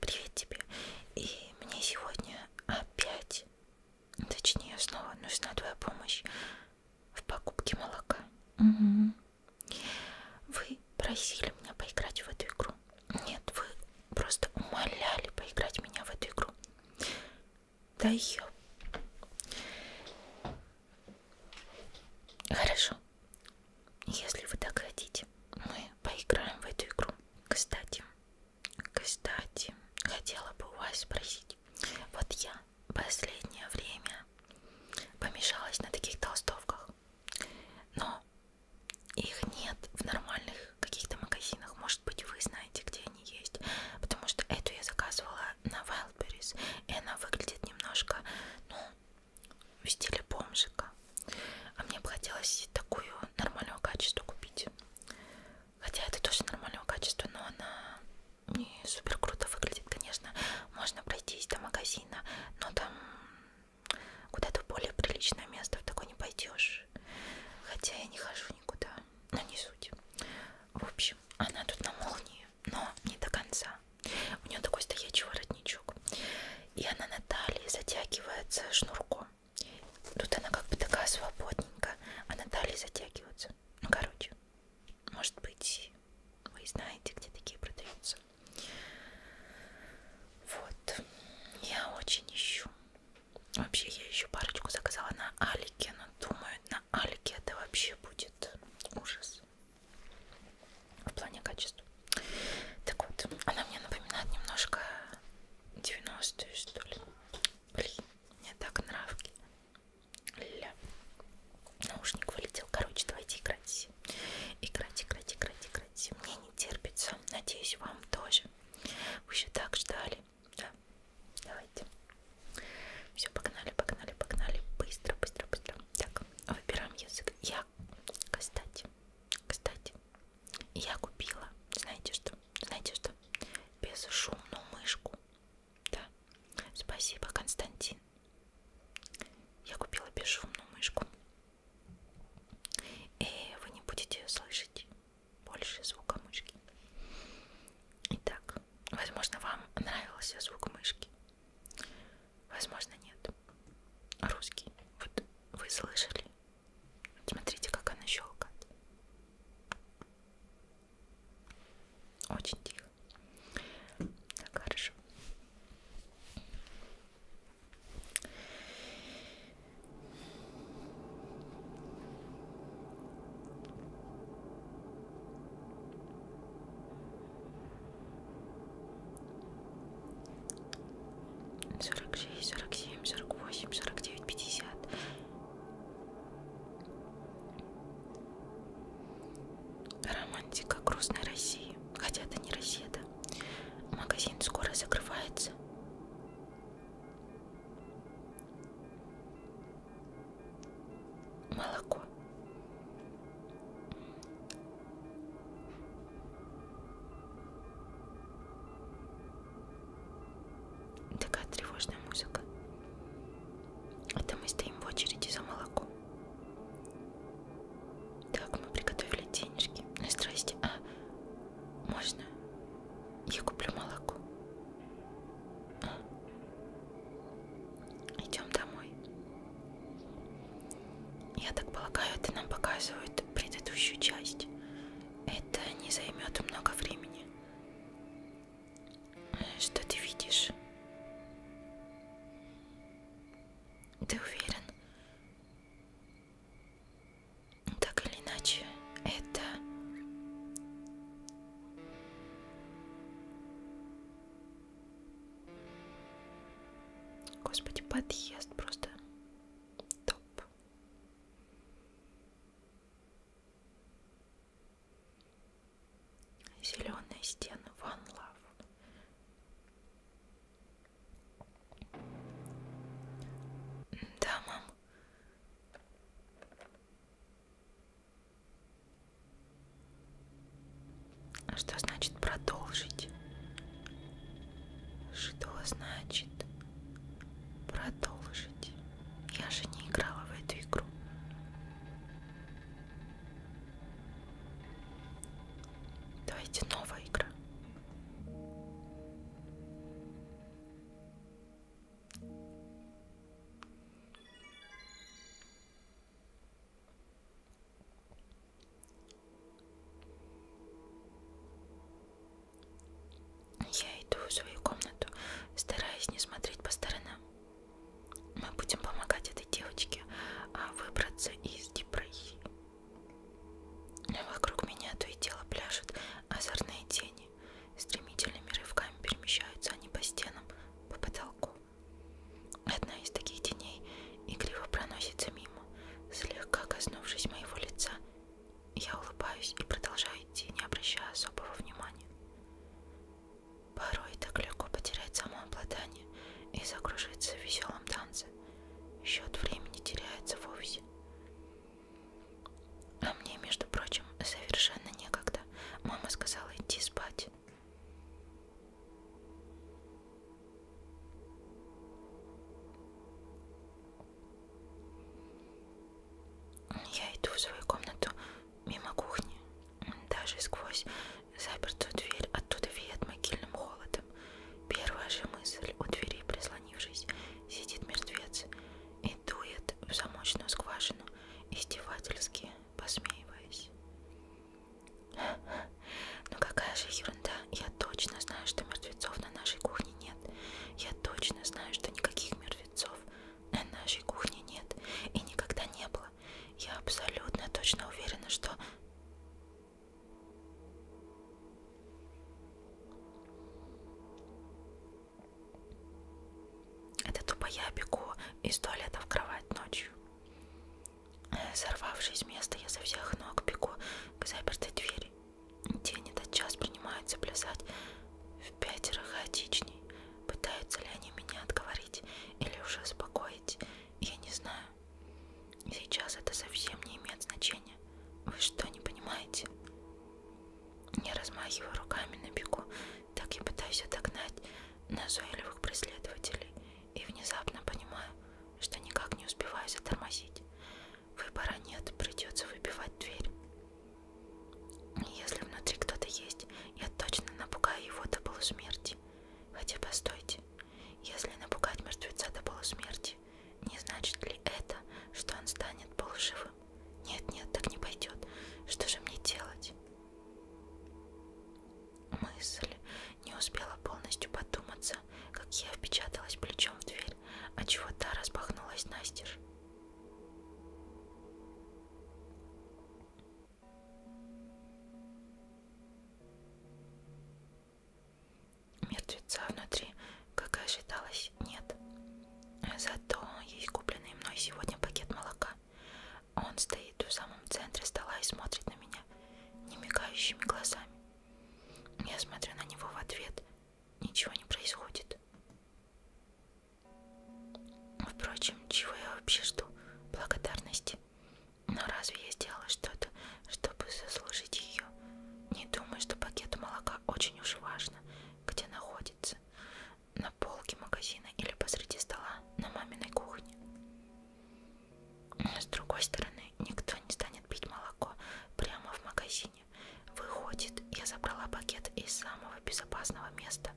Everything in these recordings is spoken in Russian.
Привет тебе. И мне сегодня опять, точнее снова нужна твоя помощь в покупке молока. Угу. Вы просили меня поиграть в эту игру. Нет, вы просто умоляли поиграть меня в эту игру. Да ее. Хорошо. Если вы так хотите, мы поиграем в эту игру. Кстати, кстати, хотела бы у вас спросить. Вот я последнее время помешалась на таких толстовках, но их нет в нормальных каких-то магазинах. Может быть, вы знаете, где они есть, потому что эту я заказывала на Wildberries, и она выглядит немножко, ну, в стиле бомжика. А мне бы хотелось такую нормального качества купить. Хотя это тоже нормального качества, но она не супер круто выглядит, конечно. Можно пройтись до магазина, но там куда-то в более приличное место в такое не пойдешь. Хотя я не хожу никуда, но не суть. В общем, она тут на молнии, но не до конца. У нее такой стоячий воротничок. И она на талии затягивается шнурком. Тут она как бы такая свободненькая, а на талии затягивается. Ну, короче, может быть, вы знаете, где такие продаются. Вот, я очень ищу. Вообще, я еще парочку заказала на Алике, но думаю, на Алике это вообще будет ужас в плане качества. Так вот, она мне напоминает немножко 90-е, что ли. Блин, мне так нравки. Ля. Наушник вылетел. Короче, давайте играть. Играть, играть, играть, играть. Мне не терпится. Надеюсь, вам тоже. Вы еще так ждали. Да. Давайте. Все, погнали, погнали, погнали. Быстро, быстро, быстро. Так, выбираем язык. Я, кстати, кстати, и я купила, знаете что, знаете что, безшумную мышку. Да, спасибо, Константин. Я купила безшумную мышку. И вы не будете слышать больше звука мышки. Итак, возможно, вам нравился звук мышки. Возможно, нет. Русский. Вот вы слышали Смотрите, как она щелкает. Очень тихо. Так, хорошо. 46, 47, 48, 49, 50. Романтика грустной России. Хотя это не Россия, да. Магазин скоро закрывается. Молоко. Такая тревожная музыка. Это мы стоим в очереди за молоком. Так, мы приготовили денежки. Ну, здрасте. А, можно? Я куплю молоко. А. Идем домой. Я так полагаю, это нам показывают предыдущую часть. Это не займет много времени. Что ты видишь? Ты уверен? Так или иначе, это... Господи, подъезд просто топ лоб. Зеленые стены One Love. Да, мам. Что значит продолжить? Что значит Продолжить. Я же не играла в эту игру. Давайте новая игра. Я иду в свою комнату, стараясь не смотреть по сторонам. Мы будем помогать этой девочке а, выбраться из депрессии. Ну, вокруг меня то и дело пляшут озорные тени. Стремительными рывками перемещаются они по стенам, по потолку. Одна из таких теней игриво проносится мимо, слегка коснувшись моего лица я улыбаюсь и продолжаю идти, не обращая особого внимания. Порой так легко потерять самообладание и закружиться в веселом танце. Счет времени теряется вовсе. А мне, между прочим, совершенно некогда. Мама сказала идти спать. Я иду в свою комнату мимо кухни, даже сквозь запертую дверь, оттуда веет могильным холодом. Первая же мысль у двери, прислонившись, сидит мертвец и дует в замочную скважину, издевательски посмеиваясь. Но ну какая же ерунда! ерунда. Я точно знаю, что мертвецов на нашей кухне нет. Я точно знаю, что никаких мертвецов на нашей кухне нет. И никогда не было. Я абсолютно точно уверена, что... Это тупо я бегу из туалета в кровать ночью. Э, сорвавшись с места, я со всех ног бегу к запертой двери. День этот час принимаются плясать в пятеро хаотичней. Пытаются ли они меня отговорить или уже успокоить, я не знаю. Сейчас это совсем не имеет значения. Вы что, не понимаете? Я размахиваю руками на бегу, так я пытаюсь отогнать назойливых преследователей и внезапно понимаю, что никак не успеваю затормозить. Выбора нет, придется выбивать дверь. Если внутри кто-то есть, я точно напугаю его до полусмерти. Хотя постойте, если напугать мертвеца до полусмерти, не значит ли это, что он станет полуживым? Нет-нет, так не пойдет. Что же мне делать? Мысль не успела полностью подуматься, как я впечаталась плечом в дверь дверь, а чего то распахнулась настежь. Мертвеца внутри, как и ожидалось, нет. Зато есть купленный мной сегодня пакет молока. Он стоит в самом центре стола и смотрит на меня немигающими глазами. Я смотрю на него в ответ, ничего не происходит. Впрочем, чего я вообще жду? Благодарности. Но разве я сделала что-то, чтобы заслужить ее? Не думаю, что пакет молока очень уж важно, где находится. На полке магазина или посреди стола на маминой кухне. С другой стороны, никто не станет пить молоко прямо в магазине машине. Выходит, я забрала пакет из самого безопасного места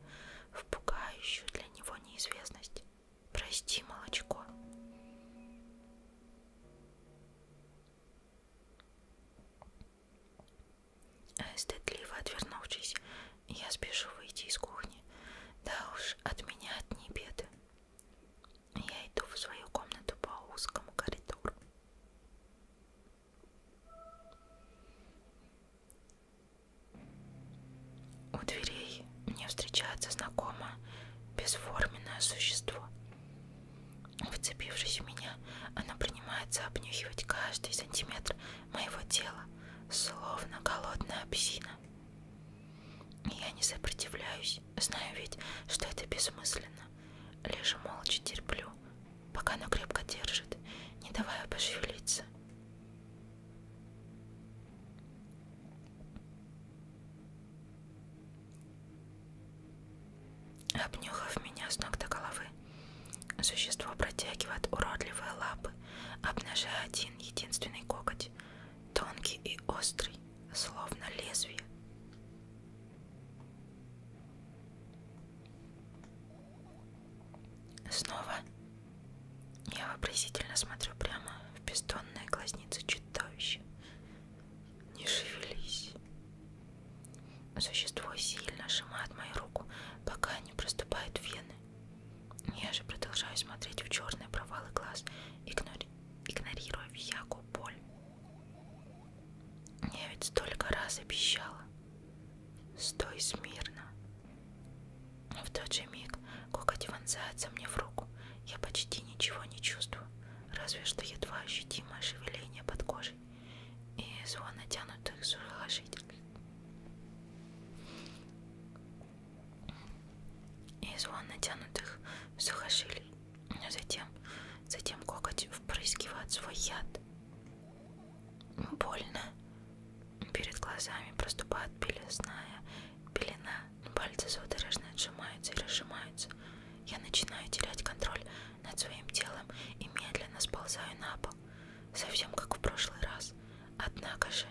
в пугающую для него неизвестность. Прости, молочко. Э, стыдливо отвернувшись, я спешу выйти из кухни. Да уж, от меня одни беды. Я иду в свою комнату по узкому коридору. У дверей мне встречается знакомо бесформенное существо. Вцепившись в меня, оно принимается обнюхивать каждый сантиметр моего тела, словно голодная обезьяна. Я не сопротивляюсь, знаю ведь, что это бессмысленно. Лишь молча терплю, пока она крепко держит, не давая пошевелиться. Обнюхав меня с ног до головы, существо протягивает уродливые лапы, обнажая один единственный коготь, тонкий и острый, словно лезвие. Снова я вопросительно смотрю прямо в бездонные глазницы чудовища. Не шевелись. Существо сильно сжимает мою руку, пока не проступают вены. Я же продолжаю смотреть в черные провалы глаз, игнори игнорируя всякую боль. Я ведь столько раз обещала. Стой смирно. В тот же миг коготь вонзается мне в руку. Я почти ничего не чувствую, разве что едва ощутимое шевеление под кожей и звон натянутых сухожилий. И звон натянутых сухожилий. А затем, затем коготь впрыскивает свой яд. Больно. Перед глазами проступает белесная пелена. Пальцы судорожно отжимаются и разжимаются. Я начинаю терять контроль над своим телом и медленно сползаю на пол. Совсем как в прошлый раз. Однако же...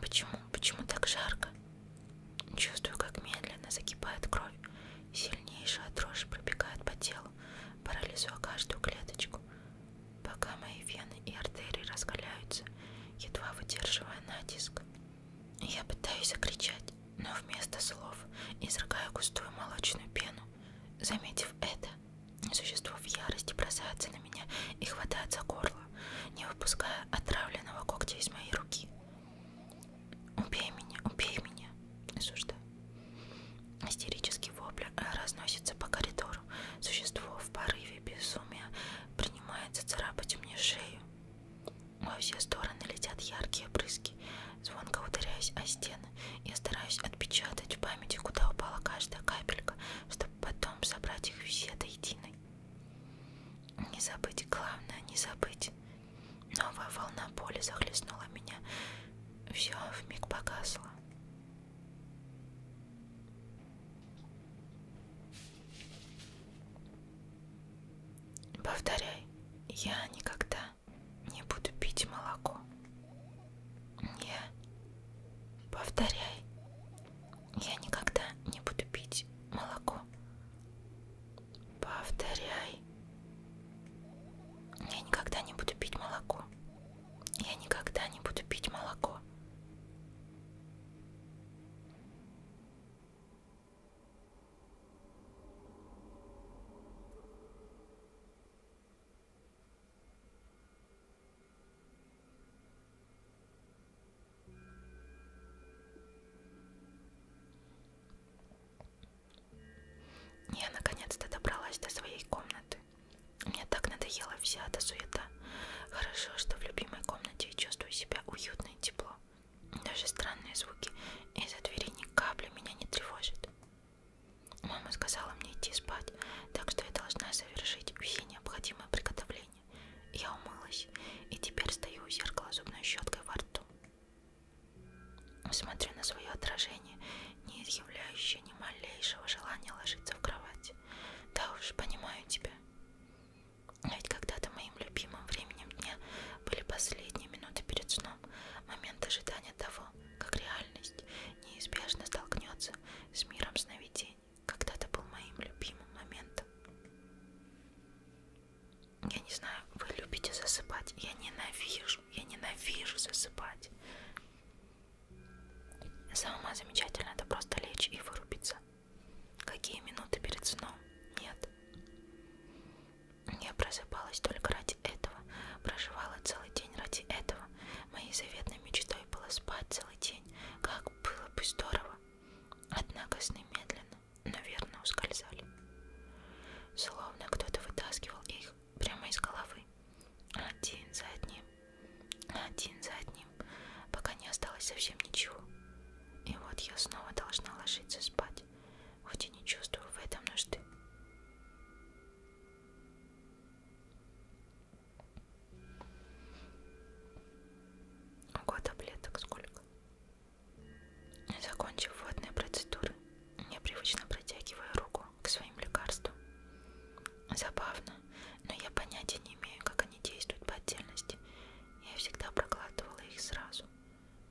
Почему? Почему так жарко? Чувствую, как медленно закипает кровь. Сильнейшая дрожь пробегает по телу, парализуя каждую клеточку. Пока мои вены и артерии раскаляются, едва выдерживая натиск. Я пытаюсь закричать, но вместо слов изрыгаю густую молочную пену. Заметив это, существо в ярости бросается на меня и хватает за горло, не выпуская отравленного когтя из моей руки. Убей меня, убей меня, осуждаю. Истерический вопль э, разносится по коридору. Существо в порыве безумия принимается царапать мне шею. Во все стороны летят яркие брызги. Звонко ударяюсь о стены. Я стараюсь отпечатать в памяти, куда упала каждая капелька, чтобы потом собрать их все до единой. Не забыть, главное, не забыть. Новая волна боли захлестнула меня. Все вмиг погасло. Повторяй, я никогда не буду пить молоко. Я повторяй, я никогда не буду пить молоко. Повторяй. Я никогда не буду пить молоко. Я никогда не буду пить молоко. Я наконец-то добралась до своей комнаты. Мне так надоела вся эта суета. Хорошо, что в любимой комнате я чувствую себя уютно и тепло. Даже странные звуки из-за двери ни капли меня не тревожат. Мама сказала мне идти спать, так что я должна совершить все необходимые приготовления. Я умылась и теперь стою у зеркала зубной щеткой во рту. Смотрю на свое отражение, не изъявляющее ни малейшего желания ложиться в кровать. Да уж, понимаю тебя. Ведь когда-то моим любимым временем дня были последние минуты перед сном, момент ожидания того, как реальность неизбежно столкнется с миром сновидений. Когда-то был моим любимым моментом я не знаю, вы любите засыпать, я ненавижу, я ненавижу засыпать. Самое замечательное это просто лечь и вырубиться. Какие минуты перед сном? Нет. Я просыпалась только ради этого, проживала целый день ради этого. Моей заветной мечтой было спать целый день, как было бы здорово. Однако сны медленно наверное, ускользали. Словно кто-то вытаскивал их прямо из головы. Один за одним, один за одним, пока не осталось совсем ничего. И вот я снова должна ложиться спать, хоть и не чувствую в этом нужды. Ого, таблеток сколько? Закончив водные процедуры, я привычно протягиваю руку к своим лекарствам. Забавно, но я понятия не имею, как они действуют по отдельности. Я всегда проглатывала их сразу,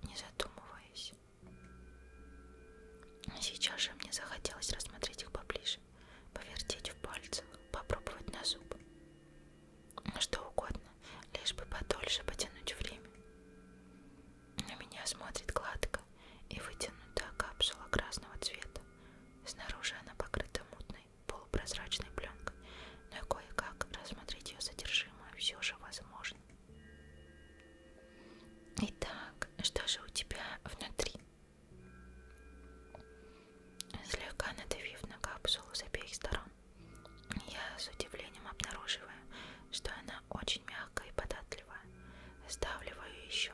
не задумываясь. Сейчас же мне захотелось рассмотреть их поближе, повертеть в пальцах, попробовать на зуб. Что угодно, лишь бы подольше потянуть время. На меня смотрит гладко и вытянутая капсула красного цвета. Снаружи она покрыта мутной, полупрозрачной пленкой, но кое-как рассмотреть ее содержимое все же возможно. Итак, что же у тебя внутри? Слегка надавив на капсулу с обеих сторон, я с удивлением обнаруживаю, что она очень мягкая мягко и податливо. Сдавливаю еще.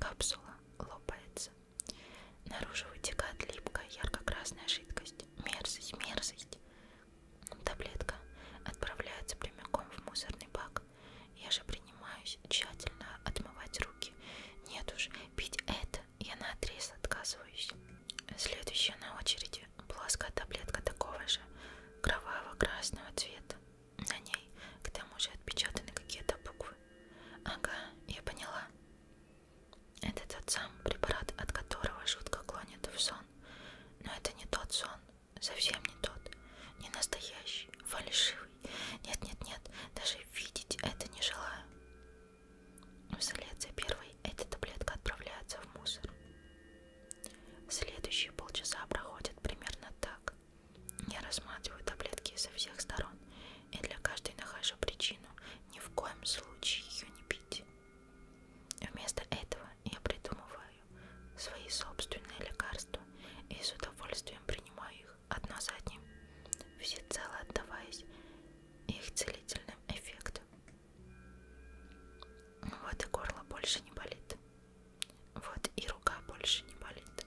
Капсула лопается. Наружу вытекает липкая ярко-красная жидкость. Мерзость, мерзость. Таблетка отправляется прямиком в мусорный бак. Я же принимаюсь тщательно отмывать руки. Нет уж, пить это я наотрез отказываюсь. Следующая на очереди плоская таблетка такого же кроваво-красного цвета. На ней к тому же отпечатаны какие-то буквы. Ага, я поняла. Это тот самый препарат, от которого жутко клонит в сон. Но это не тот сон, совсем не тот, не настоящий, фальшивый. Нет-нет-нет, даже видеть это не желаю. Вслед за первой эта таблетка отправляется в мусор. Следующие полчаса проходят примерно так. Я рассматриваю таблетки со всех сторон и для каждой нахожу причину ни в коем случае ее не пить. Вместо этого я придумываю свои собственные лекарства и с удовольствием принимаю их одно за одним, всецело отдаваясь их целительным эффектам. Вот и горло больше не болит. Вот и рука больше не болит.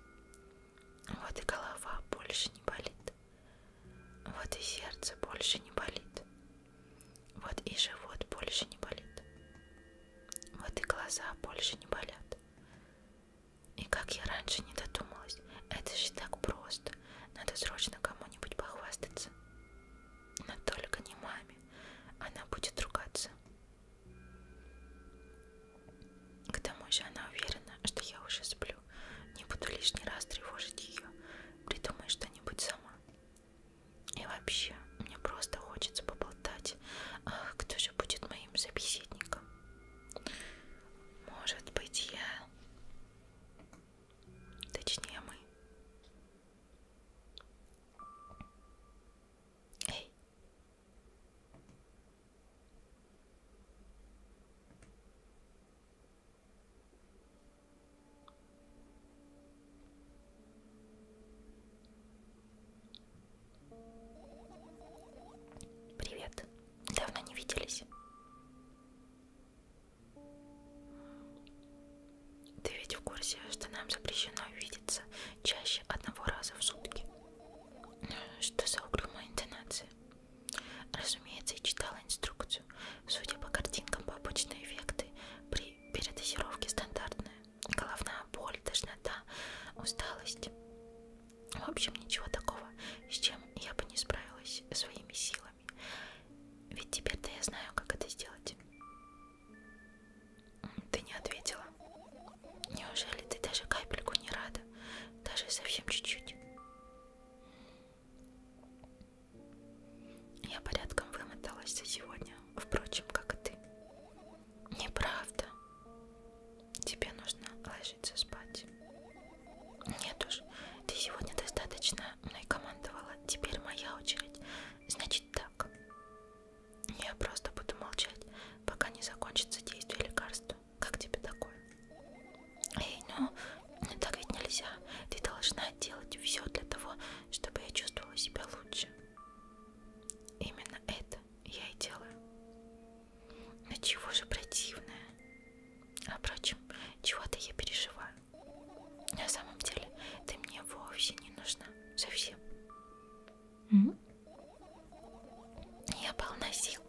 Вот и голова больше не болит. Вот и сердце больше не болит. Вот и живот больше не болит. Вот и глаза больше не болят. И как я раньше не додумалась, это же так просто. Надо срочно кому-нибудь похвастаться. Но только не маме. Она будет ругаться. К тому же она уверена, что я уже сплю. Не буду лишний раз тревожить ее. Придумай что-нибудь сама. И вообще, мне просто хочется поболтать. Ах, кто же будет моим собеседником? Может быть, я... Точнее, мы. Эй. Привет. Давно не виделись. Ты ведь в курсе, что нам запрещено видеться чаще одного раза в сутки? Что за угрюмая интонация? Разумеется, я читала инструкцию. Судя по картинкам, побочные эффекты при передозировке стандартные. Головная боль, тошнота, усталость. В общем, ничего такого, с чем я бы не справилась своими силами. Ведь теперь-то я знаю, как это сделать. Ты не ответила. Неужели ты даже капельку не рада? Даже совсем чуть-чуть. Я порядком вымоталась за сегодня, впрочем, как и ты. Неправда. Тебе нужно ложиться спать. Нет уж, ты сегодня достаточно мной командовала. Теперь моя очередь. Значит так. Я просто буду молчать, пока не закончится действие лекарства. Как тебе такое? Эй, ну, ну так ведь нельзя. Ты должна делать все для того, чтобы я чувствовала себя лучше. Именно это я и делаю. Но чего же противное? А впрочем, чего-то я переживаю. На самом деле, ты мне вовсе не нужна. Совсем. Я полна сил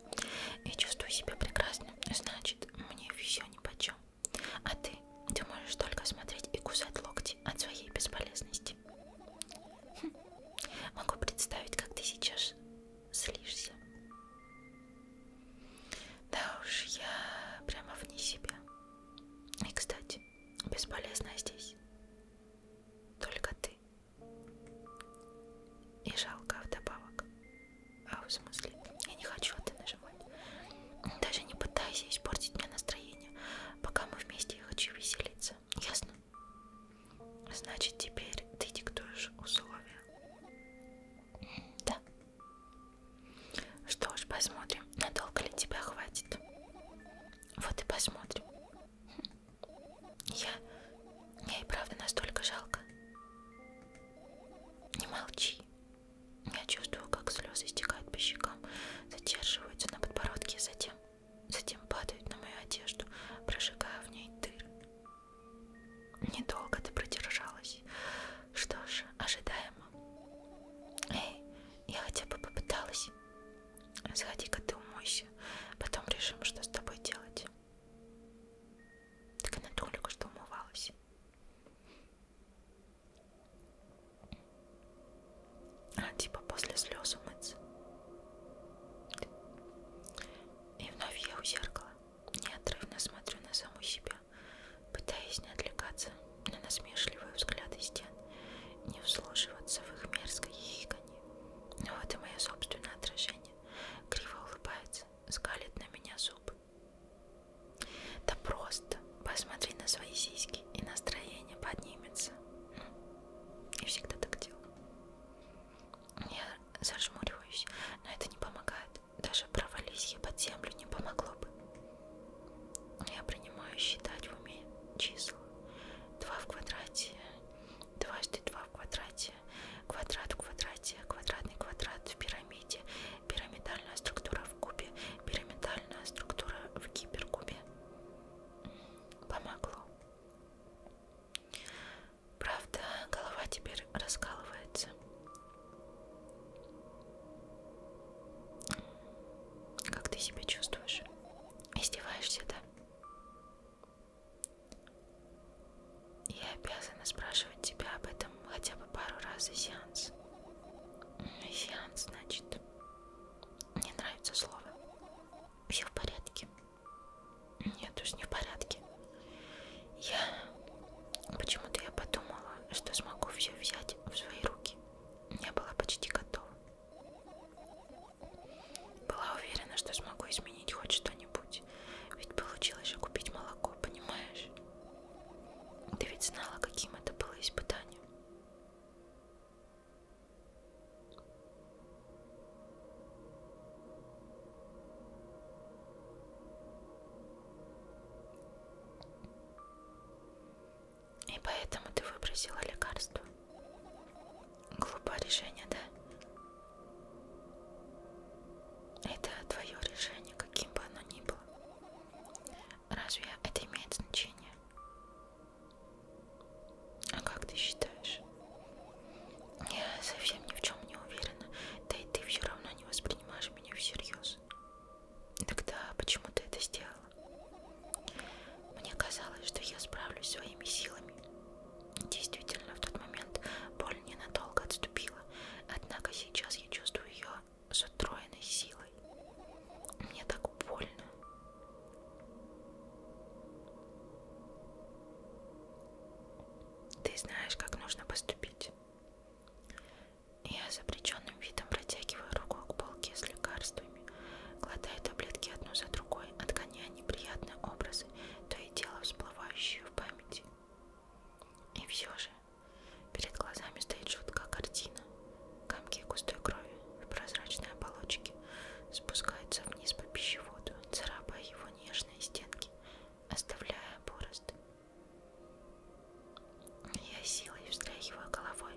и чувствую себя прекрасно. Значит, мне все нипочем. А ты? Ты можешь только смотреть и кусать локти от своей бесполезности. Хм. Могу представить, как ты сейчас слишься. Да уж, я прямо вне себя. И, кстати, бесполезна здесь. Только ты. И жалко вдобавок. А в смысле? Я не хочу это нажимать. Даже не пытайся испортить мне настроение. Пока мы вместе, я хочу веселиться. Ясно? Значит, теперь ты диктуешь условия. Да. Что ж, посмотрим, надолго ли тебя хватит. Вот и посмотрим. Я... Мне и правда настолько жалко. Не молчи. Я чувствую, как слезы стекают по щекам, задерживаются на подбородке, и затем, затем падают на мою одежду, прожигая в ней дыр. Недолго ты продержалась. Что ж, ожидаемо. Эй, я хотя бы попыталась. Сходи-ка ты умойся. Потом решим, что с тобой делать. Так она только что умывалась. А типа после слез умыться. И вновь я у зеркала неотрывно смотрю на саму себя, пытаясь не отвлекаться на насмешливые взгляды стен, не вслушиваться в их мерзкое хихиканье. Но ну вот и мое собственное отражение. Криво улыбается, скалит на меня зубы. Да просто посмотри на свои сиськи, и настроение поднимется. Я всегда так делаю. Я зажмуриваюсь, но это не помогает. Даже провались я под землю не помогло бы. Я принимаю считать в уме числа. 2 в квадрате, дважды 2 в квадрате, квадрат в квадрате, квадратный квадрат в пирамиде, пирамидальная структура в кубе, пирамидальная структура в гиперкубе. Помогло. Правда, голова теперь раскалывается. Как ты себя чувствуешь? Издеваешься, да? Я обязана спрашивать тебя об этом хотя бы пару раз за сеанс. Ну, сеанс, значит. Не нравится слово. Все в порядке. Нет уж, не в порядке. Я... Почему-то я подумала, что смогу все взять в свои руки. Я была почти готова. Была уверена, что смогу изменить хоть что-нибудь. Ведь получилось же купить молоко, понимаешь? Ты ведь знала, каким это было испытанием. И поэтому ты выбросила лекарство. Глупое решение, да? Это твое решение, каким бы оно ни было. Разве это имеет значение? А как ты считаешь? Я совсем ни в чем не уверена, да и ты все равно не воспринимаешь меня всерьез. Тогда почему ты это сделала? Мне казалось, что я справлюсь своими силами. Действительно, в тот момент боль ненадолго отступила, однако сейчас я чувствую ее с утроенной силой. Мне так больно. Ты знаешь, как нужно поступить. Я с обреченным видом протягиваю руку к полке с лекарствами ложками, глотая таблетки одну за другой, отгоняя неприятные образы, то и дело всплывающие в памяти. И все же перед глазами стоит жуткая картина. Комки густой крови в прозрачной оболочке спускаются вниз по пищеводу, царапая его нежные стенки, оставляя борозды. Я силой встряхиваю головой.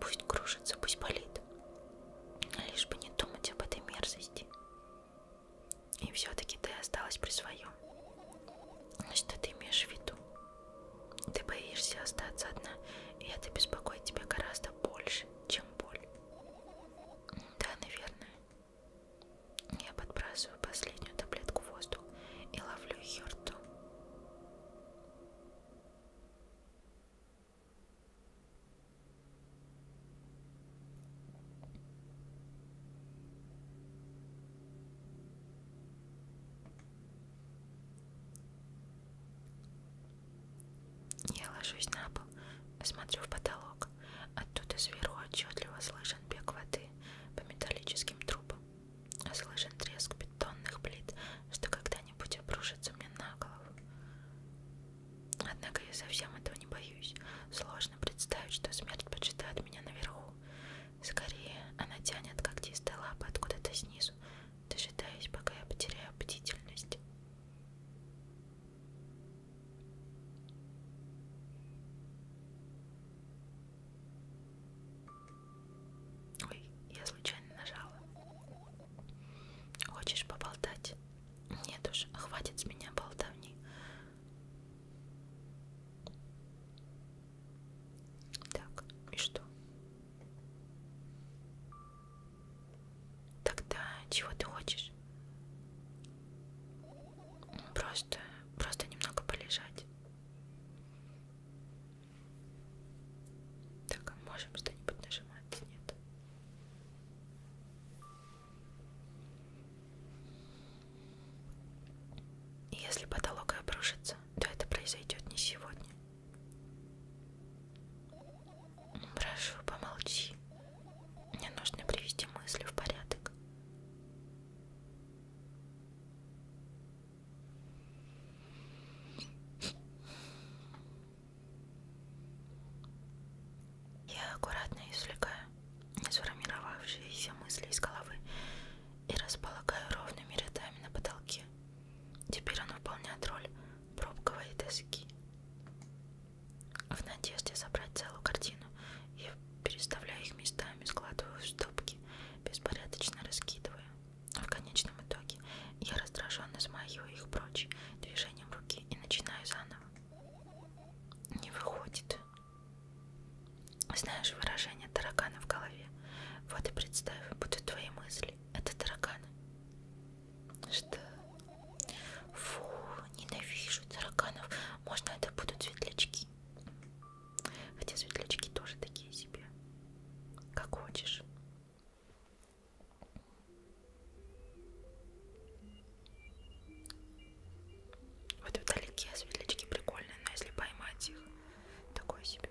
Пусть кружится, пусть болит нет. Лишь бы не думать об этой мерзости. И все-таки ты осталась при своем. Ну, что ты имеешь в виду? Ты боишься остаться одна, и это беспокоит тебя гораздо больше, чем боль. Да, наверное. Я подбрасываю последнюю таблетку в воздух и ловлю ее ртом. Я ложусь на пол, смотрю в потолок. Оттуда сверху отчетливо слышен бег воды по металлическим трубам. Слышен треск бетонных плит, что когда когда-нибудь обрушится мне на голову. Однако я совсем этого не боюсь. Сложно представить, что смерть почитает меня наверху. Скорее, она тянет когтистые лапы откуда-то снизу, дожидаясь, пока я потеряю бдительность. Ой, я случайно нажала. Хочешь поболтать? Нет уж, хватит с меня болтовни. Так, и что? Тогда чего ты хочешь? Просто, просто немного полежать. Так, а можем что-нибудь нажимать? Нет. И если потолок обрушится, то это произойдет не сегодня. Прошу, помолчи. Мне нужно привести мысли в порядок. Я аккуратно извлекаю сформировавшиеся мысли из головы и располагаю ровными рядами на потолке. Теперь он выполняет роль пробковой доски. В надежде собрать целую картину, я переставляю их местами, складываю в стопки, беспорядочно раскидываю. В конечном итоге я раздраженно смахиваю их прочь движением руки и начинаю заново. Не выходит. Знаешь выражение таракана в голове? Вот и представь, будто твои мысли — это тараканы. Что? Фу, ненавижу тараканов. Можно это будут светлячки. Хотя светлячки тоже такие себе. Как хочешь. Вот вдалеке светлячки прикольные, но если поймать их, такое себе.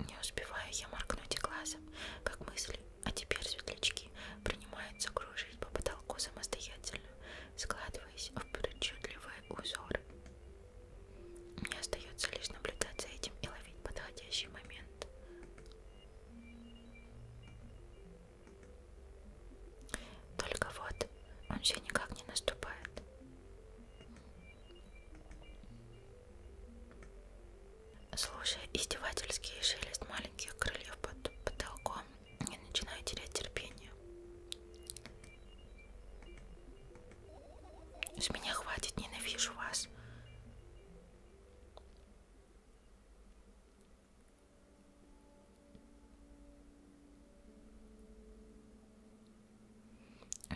Не успеваю я моргнуть и глазом, как мысли, а теперь светлячки принимаются кружить по потолку самостоятельно, складываясь в причудливые узоры. Мне остается лишь наблюдать за этим и ловить подходящий момент. Только вот, он все никак не наступает. Слушая издевательский шелест маленьких крыльев под потолком, я начинаю терять терпение. С меня хватит, ненавижу вас.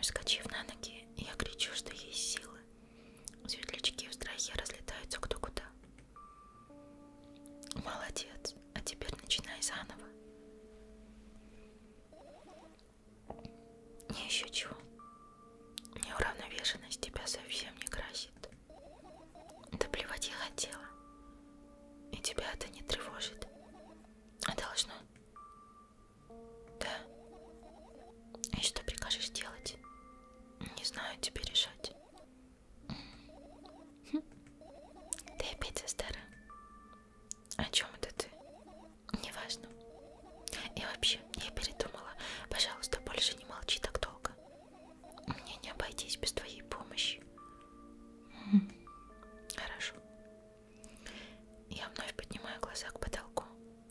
Вскочив на ноги, я кричу, что есть силы. Светлячки в страхе разлетаются кто куда. Молодец, а теперь начинай заново. Не еще чего. Неуравновешенность тебя совсем не красит. Да плевать я хотела. И тебя это не тревожит. А должно? Да. И что прикажешь делать? Не знаю, тебе решать. Хм. Ты опять за старая. О чем это ты? Неважно. И вообще, я передумала. Пожалуйста, больше не молчи так долго. Мне не обойтись без твоей помощи. Хорошо. Я вновь поднимаю глаза к потолку.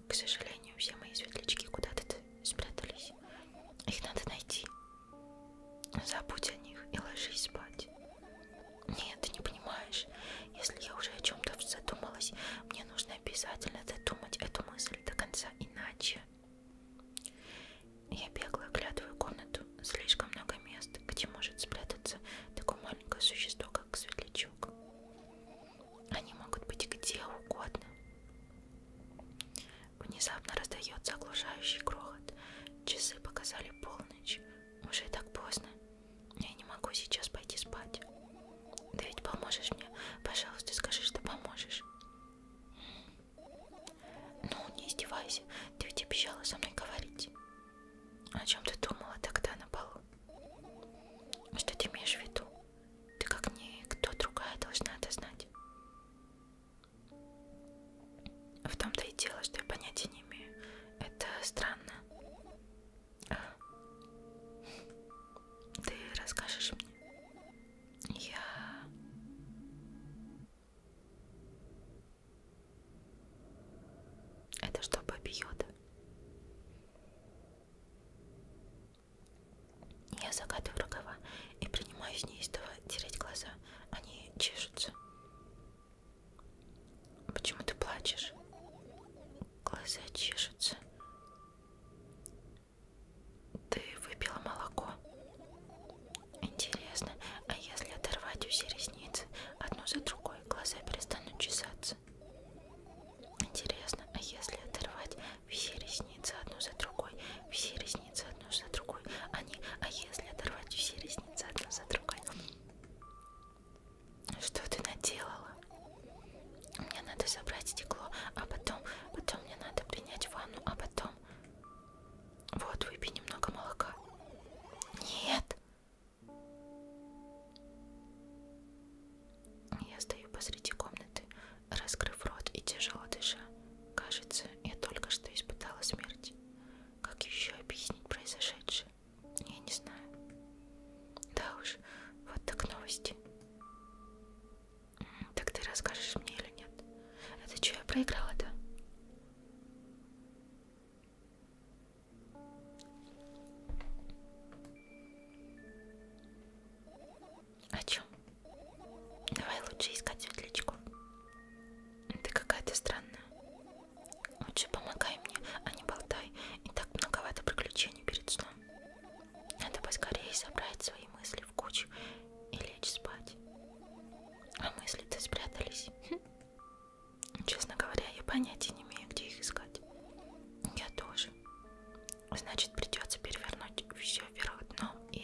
К сожалению, все мои светлячки куда-то спрятались. Их надо найти. Забудь о них и ложись спать. Нет, ты не понимаешь. Если я уже о чем-то задумалась, мне нужно обязательно додумать эту мысль мысль до конца иначе. Я бегло оглядываю комнату. Слишком много мест, где может спрятаться такое маленькое существо, как светлячок. Они могут быть где угодно. Внезапно раздается оглушающий грохот. Часы показали полночь. Уже так поздно. Я не могу сейчас пойти спать. Ты ведь поможешь мне? Пожалуйста, скажи, что поможешь. Ну, не издевайся, ты ведь обещала со мной говорить. О чем ты думала тогда на полу? Что ты имеешь в виду? Ты как никто другая должна это знать. В том-то и дело, что я понятия не имею. Это странно. А? ты расскажешь мне? Я... Это что, Баби Йода? Я загадываю рукава и принимаюсь неистово тереть глаза. Они чешутся. Почему ты плачешь? Глаза чешутся. Ты выпила молоко. Интересно, а если оторвать все ресницы одну за другой, глаза перестанут чесаться? Интересно, а если оторвать все ресницы одну за другой, все ресницы одну за другой, они, а, а если оторвать все ресницы одну за другой? Что ты наделала? Мне надо забрать стекло, а потом, потом мне надо принять ванну, а потом... Вот, выпей немного молока. Нет! Я стою посреди комнаты, раскрыв рот и тяжело дыша. Кажется, я только что испытала смерть. Как еще объяснить произошедшее? Я не знаю. Да уж, вот так новости. Так ты расскажешь мне или нет? Это что, я проиграла-то? О чем? Давай лучше искать светлячков. Ты какая-то странная. Лучше помогай мне, а не болтай. И так многовато приключений перед сном. Надо поскорее собрать свои мысли в кучу и лечь спать. А мысли-то спрятались. Хм. Честно говоря, я понятия не имею, где их искать. Я тоже. Значит, придется перевернуть все вверх дном и...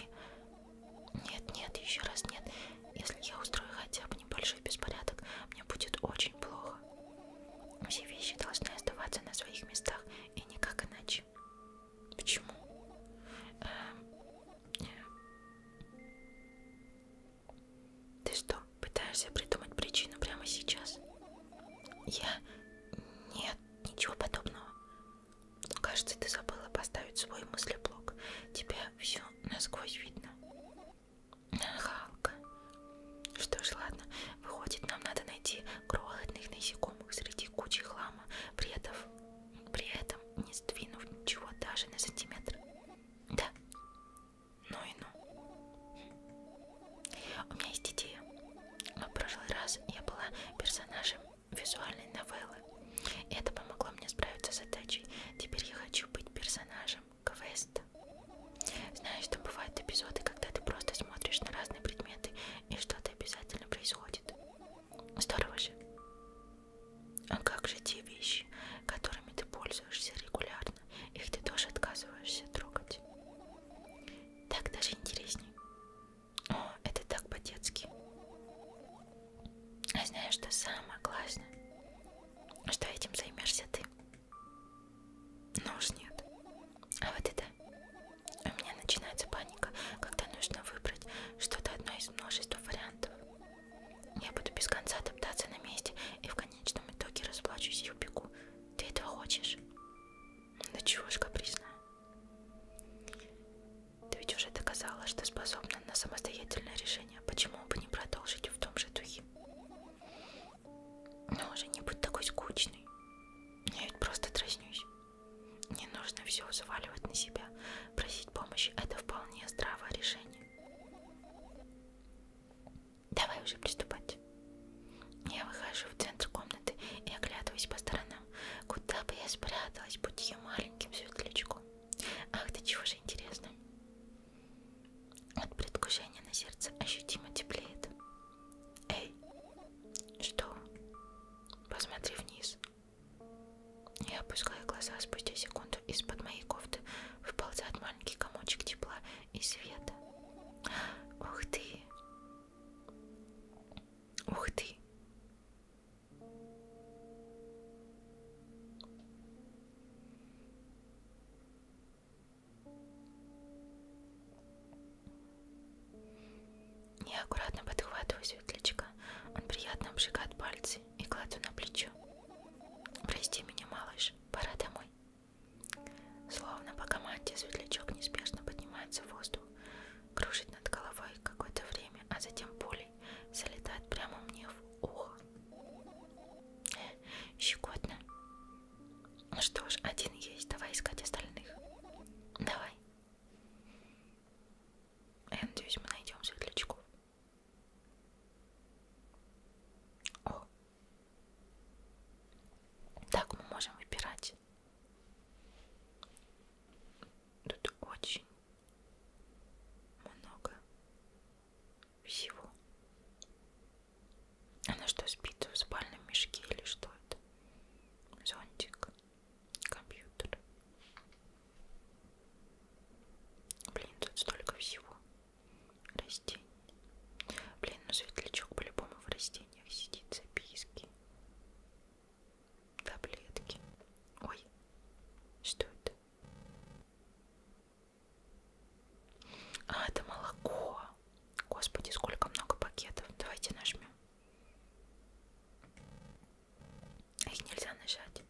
Нет, нет, еще раз нет. Если я устрою хотя бы небольшой беспорядок, мне будет очень плохо. Все вещи должны оставаться на своих местах и никак иначе. Почему? Эм, ты что, пытаешься придумать причину прямо сейчас? Я... Нет, ничего подобного. Кажется, ты забыла поставить свой мыслеблок. Тебя все насквозь видно. Халка. Что ж, ладно, Выходит, нам надо найти крохотных насекомых среди кучи хлама, при этом, при этом не сдвинув ничего даже на сантиметр. Да. Ну и ну. У меня есть идея. В прошлый раз я была персонажем визуальной новеллы. Это помогло мне справиться с задачей. Теперь я хочу быть персонажем квеста. Знаешь, что бывают эпизоды, когда ты просто смотришь на разные предметы и что-то обязательно происходит. Здорово же. А как же те вещи, которыми ты пользуешься регулярно, их ты тоже отказываешься трогать? Так даже интересней. О, это так по-детски. А знаешь, что самое классное? Что этим займешься ты? Ну уж нет. А вот это. У меня начинается паника, когда нужно выбрать что-то одно из множества вариантов. Я буду без конца топтаться на месте и в конечном итоге расплачусь и убегу. Ты этого хочешь? Да чего ж капризная. Ты ведь уже доказала, что способна на самостоятельное решение. Почему бы не продолжить в том же духе? Но ну, уже не будь такой скучный. Я ведь просто дразнюсь. Не нужно все взваливать на себя. Просить помощи – это вполне здравое решение. Давай уже приступать. Я выхожу в центр комнаты и оглядываюсь по сторонам. Куда бы я спряталась, будь я маленьким светлячком. Ах, да чего же интересно. От предвкушения на сердце ощутимо теплеет. Эй, что? Посмотри вниз. Я опускаю глаза, спустя секунду из-под моей кофты выползает маленький комочек тепла и света. Ух ты! Ух ты! Я аккуратно подхватываю светлячка. Он приятно обжигает пальцы и кладу на плечо. Прости меня, малыш, пора домой. Словно по команде светлячок неспешно поднимается в воздух, кружит над головой какое-то время, а затем пулей залетает прямо мне в ухо. Щекотно. Ну что ж, один есть, давай искать остальных. Давай. Я надеюсь, мы найдем светлячков. О. Так мы можем выбирать. Тут очень много всего. Она а что, спит в спальном мешке или что это? Зонтик компьютер. Блин, тут столько всего. Растений. Блин, ну светлячок по-любому в растениях сидит, записки. Таблетки. Ой, что это? А, это молоко. Господи, сколько много пакетов. Давайте нажмем. А их нельзя нажать.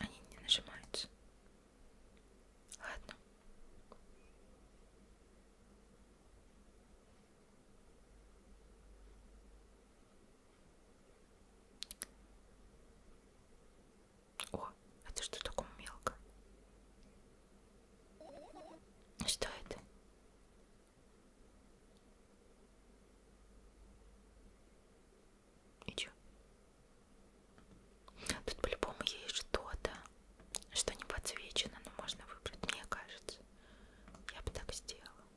Они не нажимаются. Ладно. О, это что такое мелко? Что это? И чё? Тут по-любому есть что-то, что не подсвечено, но можно выбрать, мне кажется. Я бы так сделала.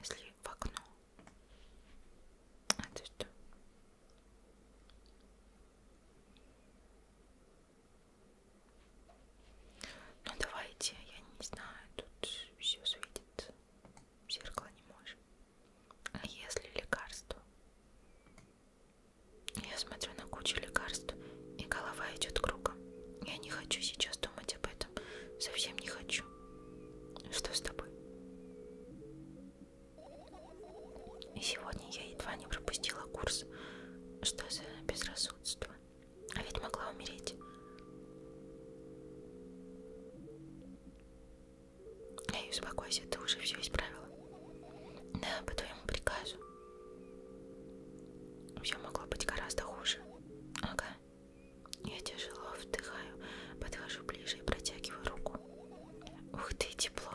Если в окно. А ты что? Ну давайте, я не знаю, тут все светит, зеркало не может. А если лекарство? Я смотрю на кучу лекарств, и голова идет кругом. Я не хочу сейчас думать об этом, совсем не хочу. Что с тобой? И сегодня я едва не пропустила курс. Что за безрассудство? А ведь могла умереть. Эй, успокойся, ты уже все исправила. Да, по твоему приказу. Все могло быть гораздо хуже. Ага. Я тяжело вдыхаю, подхожу ближе и протягиваю руку. Ух ты, тепло.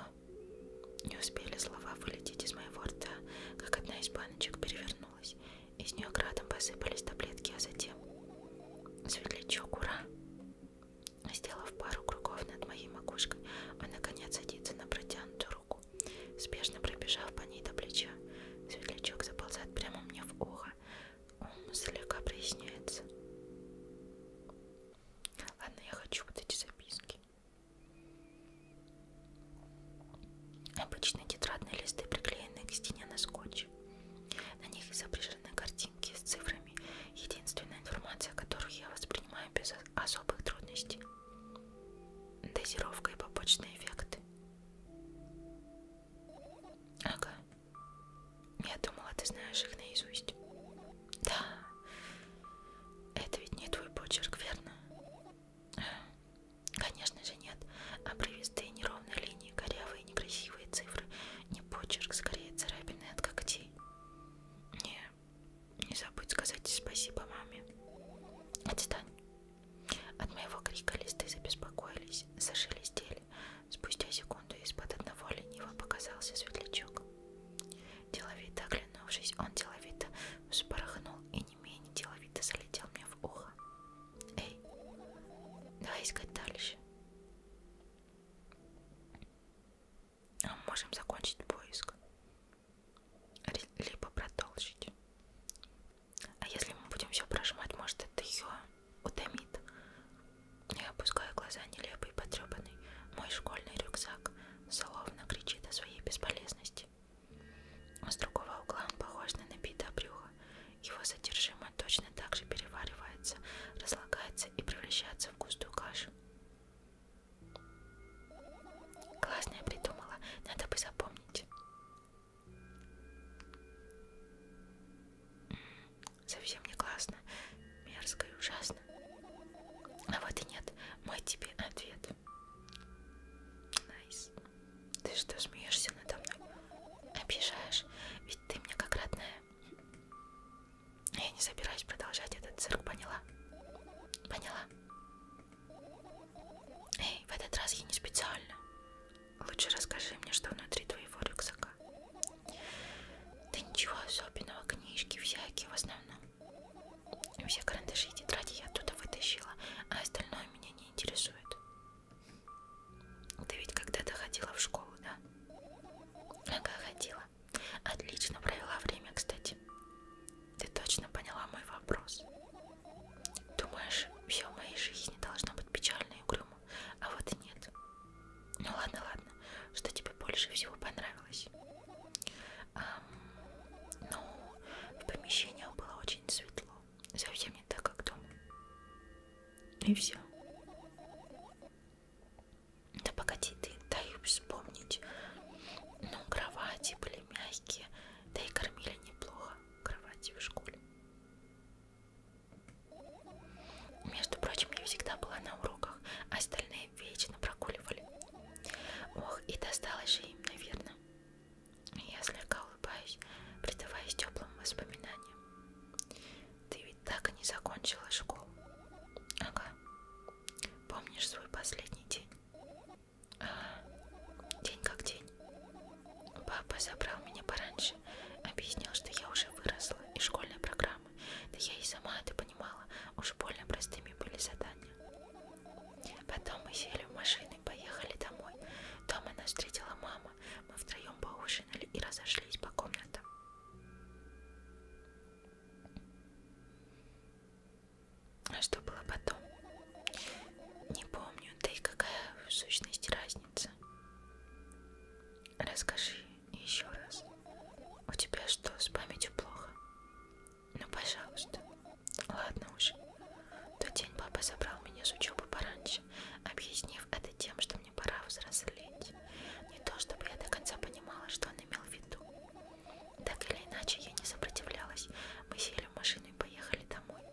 Не успели слова вылететь из моего рта, как одна из баночек перевернулась. Из нее градом посыпались таблетки, а затем... Светлячок, ура! Сделав пару кругов над моей макушкой, он а наконец садится на протянутую руку. Спешно пробежав по ней до плеча, светлячок заползает прямо мне в ухо. Ум слегка проясняется. Ладно, я хочу вот эти записки. Обычные тетрадные листы приклеены к стене на скотч. На них изображены картинки с цифрами. Единственная информация, которую я воспринимаю без особых трудностей. Дозировка и побочные эффекты. Ага. Я думала, ты знаешь их наизусть. Да. Это ведь не твой почерк, верно? Конечно же нет. Обрывистые неровные линии, корявые некрасивые цифры. Не почерк, скорее царапины от когтей. Не, не забудь сказать спасибо маме. Отстань. От моего крика листы забеспокоились, зашелестели. Спустя секунду из-под одного лениво показался светлячок. Деловито оглянувшись, он деловито вспорхнул и не менее деловито залетел мне в ухо. Эй, давай искать дальше. А мы можем закончить поиск. Либо продолжить. А если мы будем все прожимать, может это ее утомит. Я опускаю глаза нелепый, потрепанный. Мой школьный рюкзак словно кричит о своей бесполезности. А с другого угла он похож на набитое брюхо. Его содержимое точно так же переваривается, разлагается и превращается в густую кашу. Классно я придумала, надо бы запомнить. Совсем не классно, мерзко и ужасно интересно. А вот и нет, мой тебе ответ. Найс. Ты что, смеешься надо мной? Обижаешь? Ведь ты мне как родная. Я не собираюсь продолжать этот цирк, поняла? Поняла? Эй, в этот раз я не специально. Лучше расскажи мне, что внутри твоего рюкзака. Да ничего особенного, книжки всякие в основном. Все карандаши и тетради я оттуда вытащила, а остальное меня не интересует. Ты ведь когда-то ходила в школу, да? Ага, ходила. Отлично провела время, кстати. Ты точно поняла мой вопрос. Думаешь, все в моей жизни должно быть печально и угрюмо, а вот и нет. Ну ладно, ладно, что тебе больше всего понравилось? но ну, в помещениях было очень светло, совсем не так, как дома. И все. Да погоди, ты дай вспомнить. Ну, кровати были мягкие, да и кормили неплохо кровати в школе. Между прочим, я всегда была на уроках, а остальные вечно прогуливали. Ох, и досталось же им, наверное. Я слегка улыбаюсь, предаваясь теплым воспоминаниям. Ты ведь так и не закончила школу. Ага. Помнишь свой последний день? Ага. День как день. Папа забрал меня пораньше, объяснил, что я уже выросла из школьной программы. Да я и сама это понимала, уж больно простыми были задания. Потом мы сели в машину и поехали домой. Дома нас встретила мама. Мы втроем поужинали и разошлись по комнатам. А что было потом? Не помню, да и какая в сущности разница. Расскажи еще раз. У тебя что, с памятью плохо? Ну, пожалуйста. Ладно уж. В тот день папа забрал меня с учебы пораньше, объяснив это тем, что мне пора взрослеть. Не то, чтобы я до конца понимала, что он имел в виду. Так или иначе, я не сопротивлялась. Мы сели в машину и поехали домой.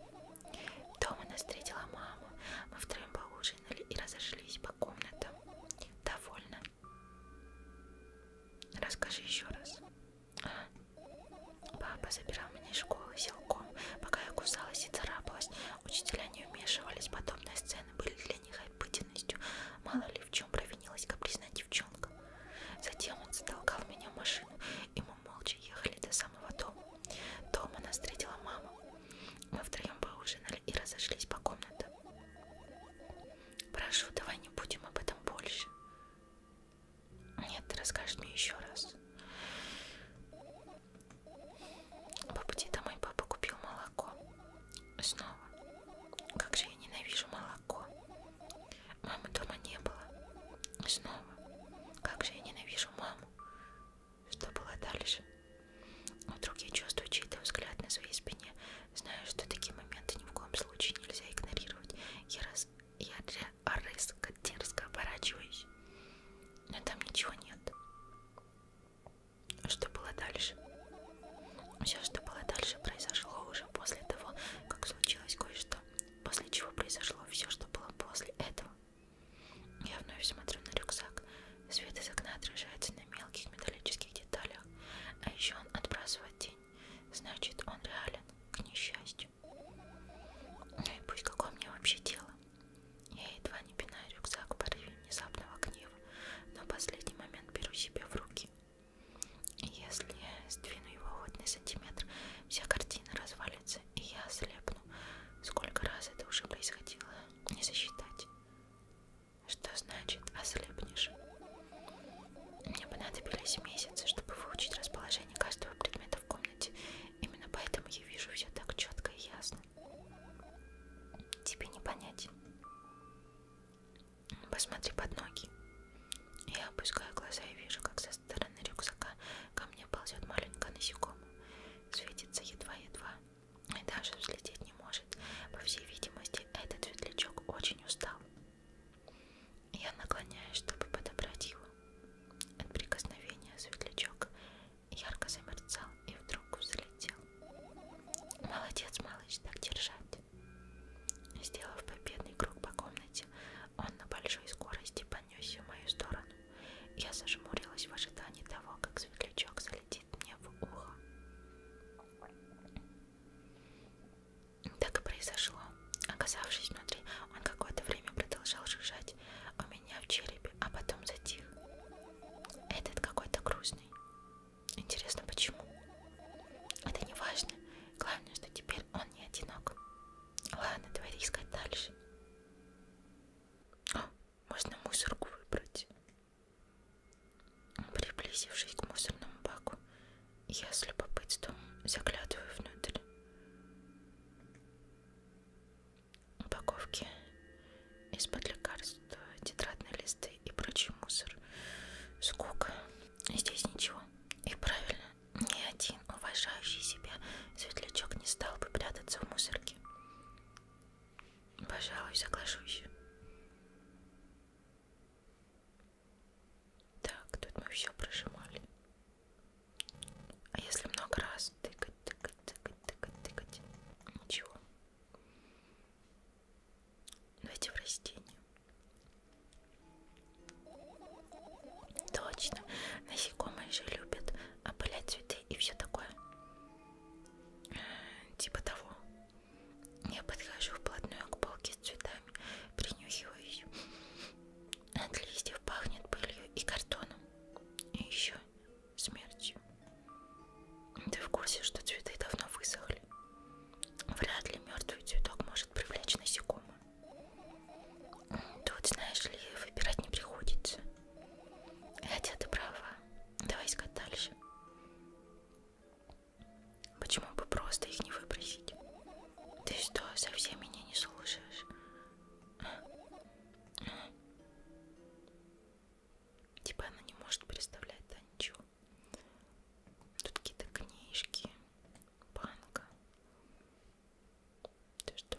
Дома нас встретила мама. Мы втроем поужинали и разошлись по комнатам. Довольно. Расскажи еще раз. Папа забирал меня из школы силком, пока я кусалась и царапалась. Учителя не вмешивались, подобные сцены были для них обыденностью. Мало ли в чем провинилась капризная девчонка. Затем он затолкал меня в машину, и мы молча ехали до самого дома. Дома нас встретила мама. Мы втроем поужинали и разошлись по комнатам. Прошу, давай не будем об этом больше. Нет, ты расскажешь мне еще раз. По пути домой папа купил молоко. Снова. Как же я ненавижу молоко. Мамы дома не было. Снова. Как же я ненавижу маму. Что было дальше? Вдруг я чувствую чей-то взгляд на своей спине. Знаю, что такие моменты ни в коем случае нельзя игнорировать. Я, раз... я резко, дерзко оборачиваюсь, но там ничего нет. Что было дальше? Все, что было дальше, произошло уже после того, как случилось кое-что. После чего произошло все, что было после этого. Я вновь смотрю на рюкзак. Свет из окна отражается на мелких металлических деталях, а еще он отбрасывает тень значит он реален к несчастью. Ну и пусть какое мне вообще дело. Я едва не пинаю рюкзак в порыве внезапного гнева, но в последний момент беру себя в руки. И если я сдвину его хоть на сантиметр, вся картина развалится, и я ослепну. Сколько раз это уже происходило, не засчитать. Что значит ослепнешь? Мне понадобились месяцы, чтобы выучить расположение каждого предмета в комнате. Именно поэтому я вижу все так четко и ясно. Тебе не понять. Посмотри под ноги. Я опускаю глаза и вижу, как со стороны рюкзака ко мне ползет маленькая насекомая. Светится едва-едва. И даже взлететь не может. По всей видимости, этот светлячок очень устал. Я наклоняюсь, чтобы подобрать его. От прикосновения светлячок ярко замерцал и вдруг взлетел. Молодец, малыш, так держать. Сделав победный круг по комнате, он на большой скорости понесся в мою сторону. Я зажмурилась в ожидании того, как светлячок залетит мне в ухо. Так и произошло. Оказавшись внутри, он какое-то время продолжал жужжать у меня в черепе, а потом затих. Этот какой-то грустный. Интересно, почему? Это не важно. Главное, что теперь он не одинок. Ладно, давай искать дальше. О, а, можно мусорку выбрать. Приблизившись к мусорному баку, я с любопытством заглядываю внутрь упаковки из-под лекарства, тетрадные листы и прочий мусор. Скука. Здесь ничего. И правильно, ни один уважающий себя светлячок не стал бы прятаться в мусорке. Пожалуй, соглашусь. Так, тут мы все прожимали. А если много раз тыкать, тыкать, тыкать, тыкать, тыкать, ничего. Давайте в растение. Точно. Насекомые же любят опылять цветы и все такое. Типа того. Я подхожу вплотную к полке вазочки с цветами, принюхиваюсь. От листьев пахнет пылью и картоном, и еще смертью. Ты в курсе, что цветы давно высохли? Вряд ли мертвый цветок может привлечь насекомых. Тут, знаешь ли, выбирать не приходится. Хотя ты права. Давай искать дальше. Почему бы просто их не выбросить? Ты что, совсем меня не слушаешь? Типа она не может представлять, да, ничего. Тут какие-то книжки, банка. Ты что?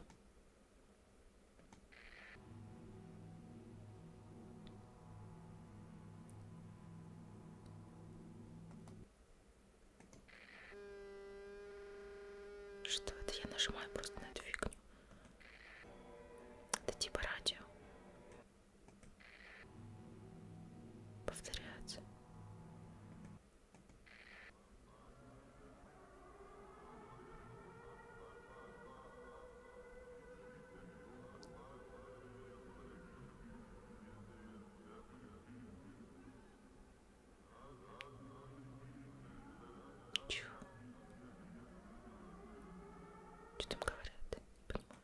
Что это? Я нажимаю просто на эту фигню. Это типа радио. Повторяется. Чего? Что там говорят? Не понимаю.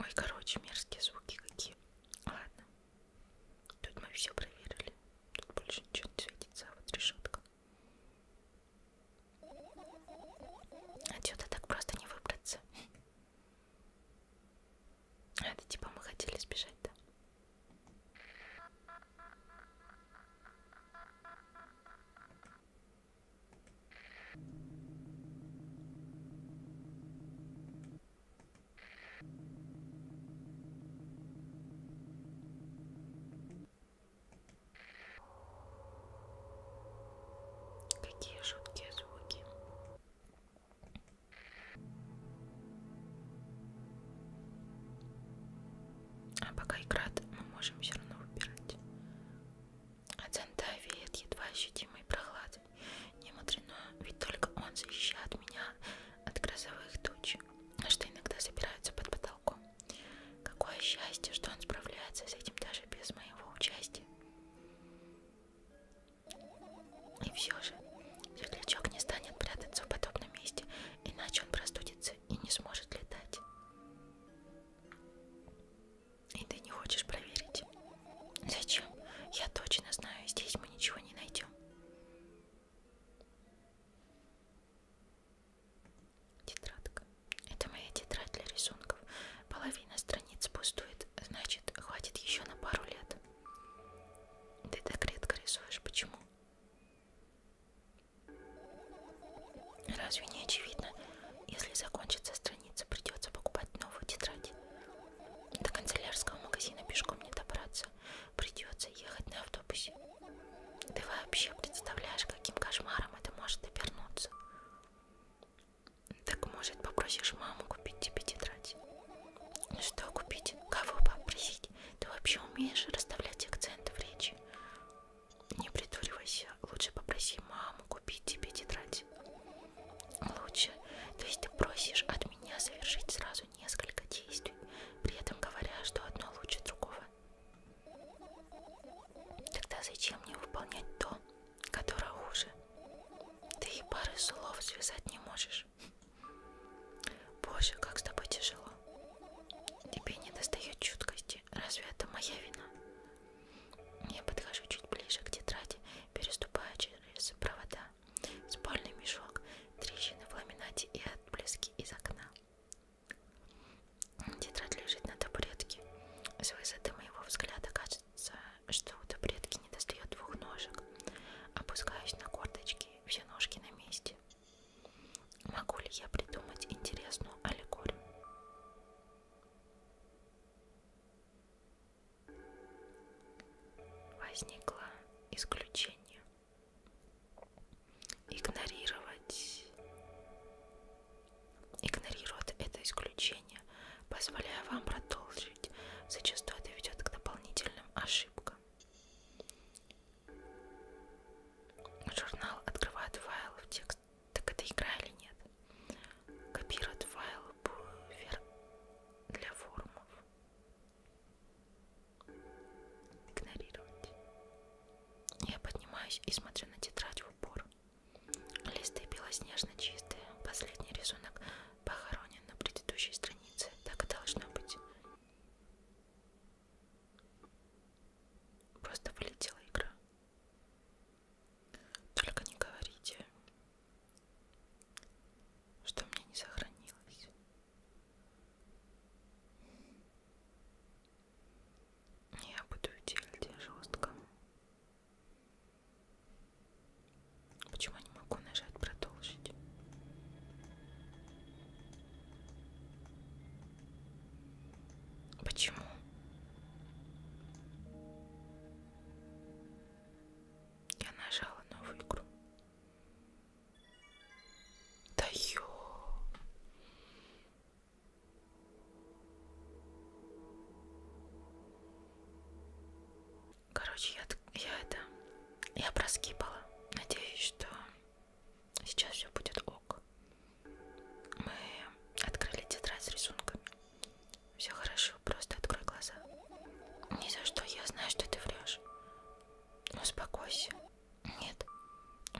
Ой, короче, мерзкие звуки какие. Ладно. Тут мы все проверили. Тут больше ничего не светится, а вот решетка. Отсюда так просто не выбраться. А это типа мы хотели сбежать, да? Какие жуткие звуки. А пока играет, мы можем все равно выбирать. От а зонта веет едва ощутимой прохладой. Не мудрено, ведь только он защищает меня от грозовых туч, что иногда собираются под потолком. Какое счастье, что он справляется с этим даже без моего участия. И все же, светлячок не станет прятаться в подобном месте, иначе он простудится и не сможет летать. И ты не хочешь проверить? Зачем? Я точно знаю, здесь мы ничего не найдем. Тетрадка. Это моя тетрадь для рисунков. Половина страниц пустует, значит, хватит еще на пару лет. Ты так редко рисуешь, почему? Разве не очевидно? Если закончится страница, придется покупать новую тетрадь. До канцелярского магазина пешком не добраться придется ехать на автобусе. Ты вообще представляешь, каким кошмаром это может обернуться? Так может попросишь маму купить тебе тетрадь? Ну что купить? Кого попросить? Ты вообще умеешь расставлять акценты в речи? Не притуривайся, лучше попроси маму купить тебе тетрадь. Лучше, то есть ты просишь от меня совершить сразу несколько действий, при этом говоря, что одно лучше другого. Тогда зачем мне выполнять то, которое хуже? Ты и пары слов связать не можешь. Боже, как с тобой тяжело. Тебе не достает чуткости. Разве это моя вина? Я подхожу чуть ближе к тетради, переступая через провода спальный мешок, трещины в ламинате и отблески из окна. Тетрадь лежит на табуретке. С высоты моего взгляда кажется, что у табуретки не достает двух ножек. Опускаюсь на корточки, все ножки на месте. Могу ли я придумать интересную аллегорию? Возникло исключение игнорировать, игнорирует это исключение, позволяя вам продолжить. Зачастую это ведет к дополнительным ошибкам. Журнал открывает файл в текст. Так это игра или нет? Копирует файл буфер для форумов игнорировать. Я поднимаюсь и смотрю на тетрадь в упор. Листы белоснежно чистые. Последний рисунок похоронен на предыдущей странице. Так и должно быть. Просто вылетела игра. Только не говорите, что мне не сохранилось. Я буду делить жестко. Почему я не могу нажать продолжить? Почему? Я нажала новую игру. Да ё... Короче, я, я это... Я проскипала. Надеюсь, что сейчас все будет ок. Мы открыли тетрадь с рисунками. Все хорошо, просто открой глаза. Ни за что, я знаю, что ты врешь. Успокойся. Нет.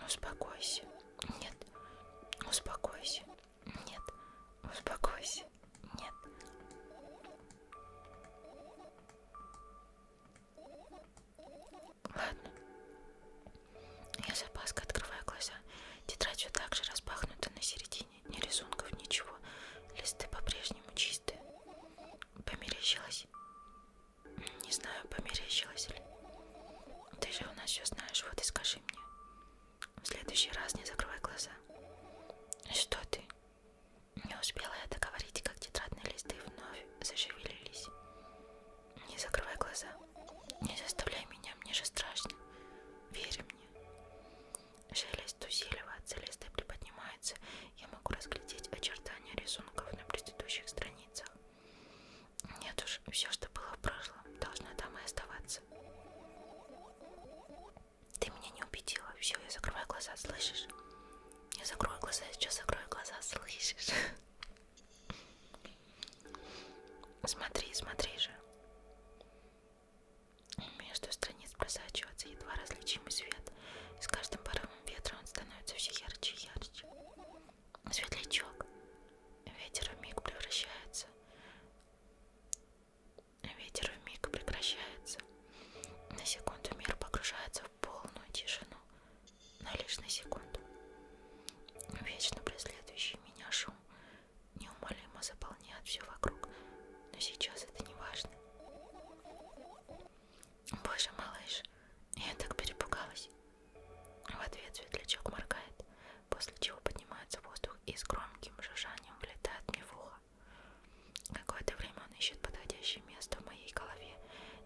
Успокойся. Нет. Успокойся. Нет. Успокойся. Нет. Ладно. Я с опаской открываю глаза. Тетрадь все так же распахнута на середине. Ни рисунков, ничего. Листы по-прежнему чистые. Померещилась. Не знаю, померещилась ли. Ты же у нас все знаешь, вот и скажи мне. В следующий раз не закрывай глаза. Что ты? Не успела я договорить, как тетрадные листы вновь зашевелились. Не закрывай глаза. Не заставляй меня, мне же страшно. Верь мне. Шелест усиливается, листы приподнимаются, я могу разглядеть очертания рисунков на предыдущих страницах. Нет уж, все, что было в прошлом, должно там и оставаться. Ты меня не убедила. Все, я закрываю глаза, слышишь? Я закрою глаза, я сейчас закрою глаза, слышишь? Смотри, смотри же. Между страниц просачивается едва различимый свет. И с каждым порывом порывом ветра он становится все ярче и ярче. Светлячок. Ветер в миг превращается. Ветер в миг прекращается. На секунду мир погружается в полную тишину, но лишь на секунду. Вечно преследующий меня шум неумолимо заполняет все вокруг, но сейчас это не важно. Боже, малыш, я так перепугалась. В ответ светлячок моргает, после чего поднимается воздух и с громким жужжанием влетает мне в ухо. Какое-то время он ищет подходящее место в моей голове,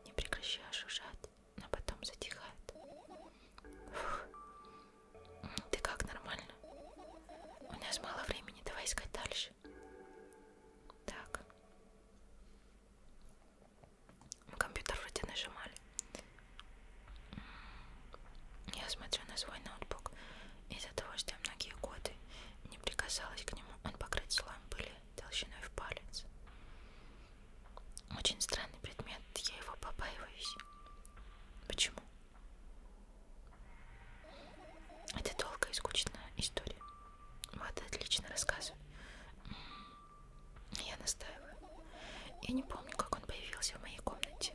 не прекращая жужжать, но потом затихает. Фух. Ты как, нормально? У нас мало времени, давай искать дальше. Так. Компьютер вроде нажимали. Я смотрю на свой ноутбук. Из-за того, что я многие годы не прикасалась к нему, он покрыт слоем пыли толщиной в палец. Очень странный предмет, я его побаиваюсь. Почему? Это долгая и скучная история. Вот, отлично рассказываю. Я настаиваю. Я не помню, как он появился в моей комнате.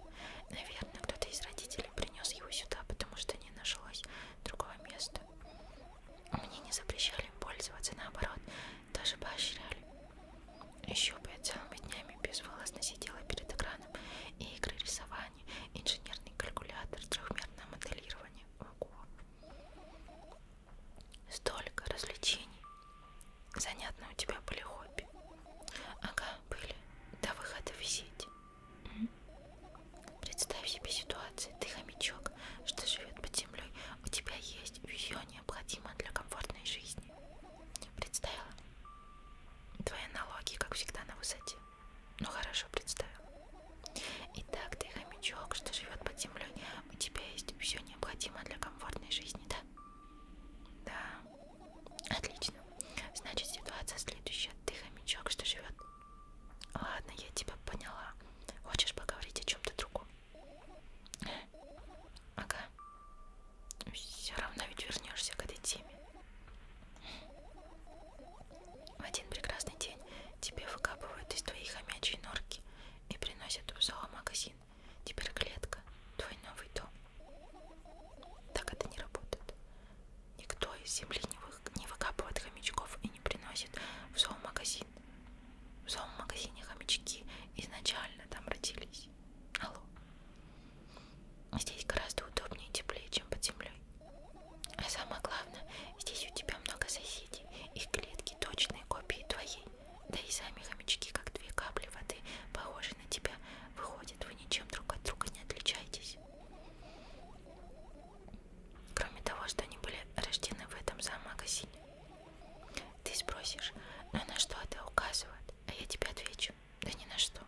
Наверное, кто-то из родителей принес его сюда, потому что не нашлось другого места. Мне не запрещали им пользоваться, наоборот, даже поощряли. Еще бы я целыми днями безволосно сидела перед экраном и игры рисования, инженерный калькулятор, трехмерное моделирование. Ого. Столько развлечений. Занятно у тебя были хобби. Ага, были. До выхода в сеть. Представь себе ситуацию. Ты хомячок, что живет под землей. У тебя есть все необходимое для комфортной жизни. Представила? Твои налоги, как всегда, на высоте. Ну хорошо, представила. Итак, ты хомячок, что живет под землей, у тебя есть все необходимое для комфортной жизни, да? Да. Отлично. Значит, ситуация следующая. Ты хомячок, что живет. Ладно, я тебя поняла. Хочешь поговорить о чем-то другом? Ага. Все равно ведь вернешься к этой теме. В один прекрасный день Тебе выкапывают из твоей хомячей норки и приносят в зоомагазин. Теперь клетка, твой новый дом. Так это не работает. Никто из земли не, вы... не выкапывает хомячков и не приносит в зоомагазин. В зоомагазине хомячки изначально там родились. Алло. Здесь гораздо удобнее и теплее, чем под землей. А самое главное, здесь у тебя много соседей соседи. Их клетки точные копии твоей. Да и сами хомячки, как две капли воды, похожи на тебя. Выходит, вы ничем друг от друга не отличаетесь. Кроме того, что они были рождены в этом зоомагазине. Ты спросишь, но «Ну, на что это указывает? А я тебе отвечу, да ни на что.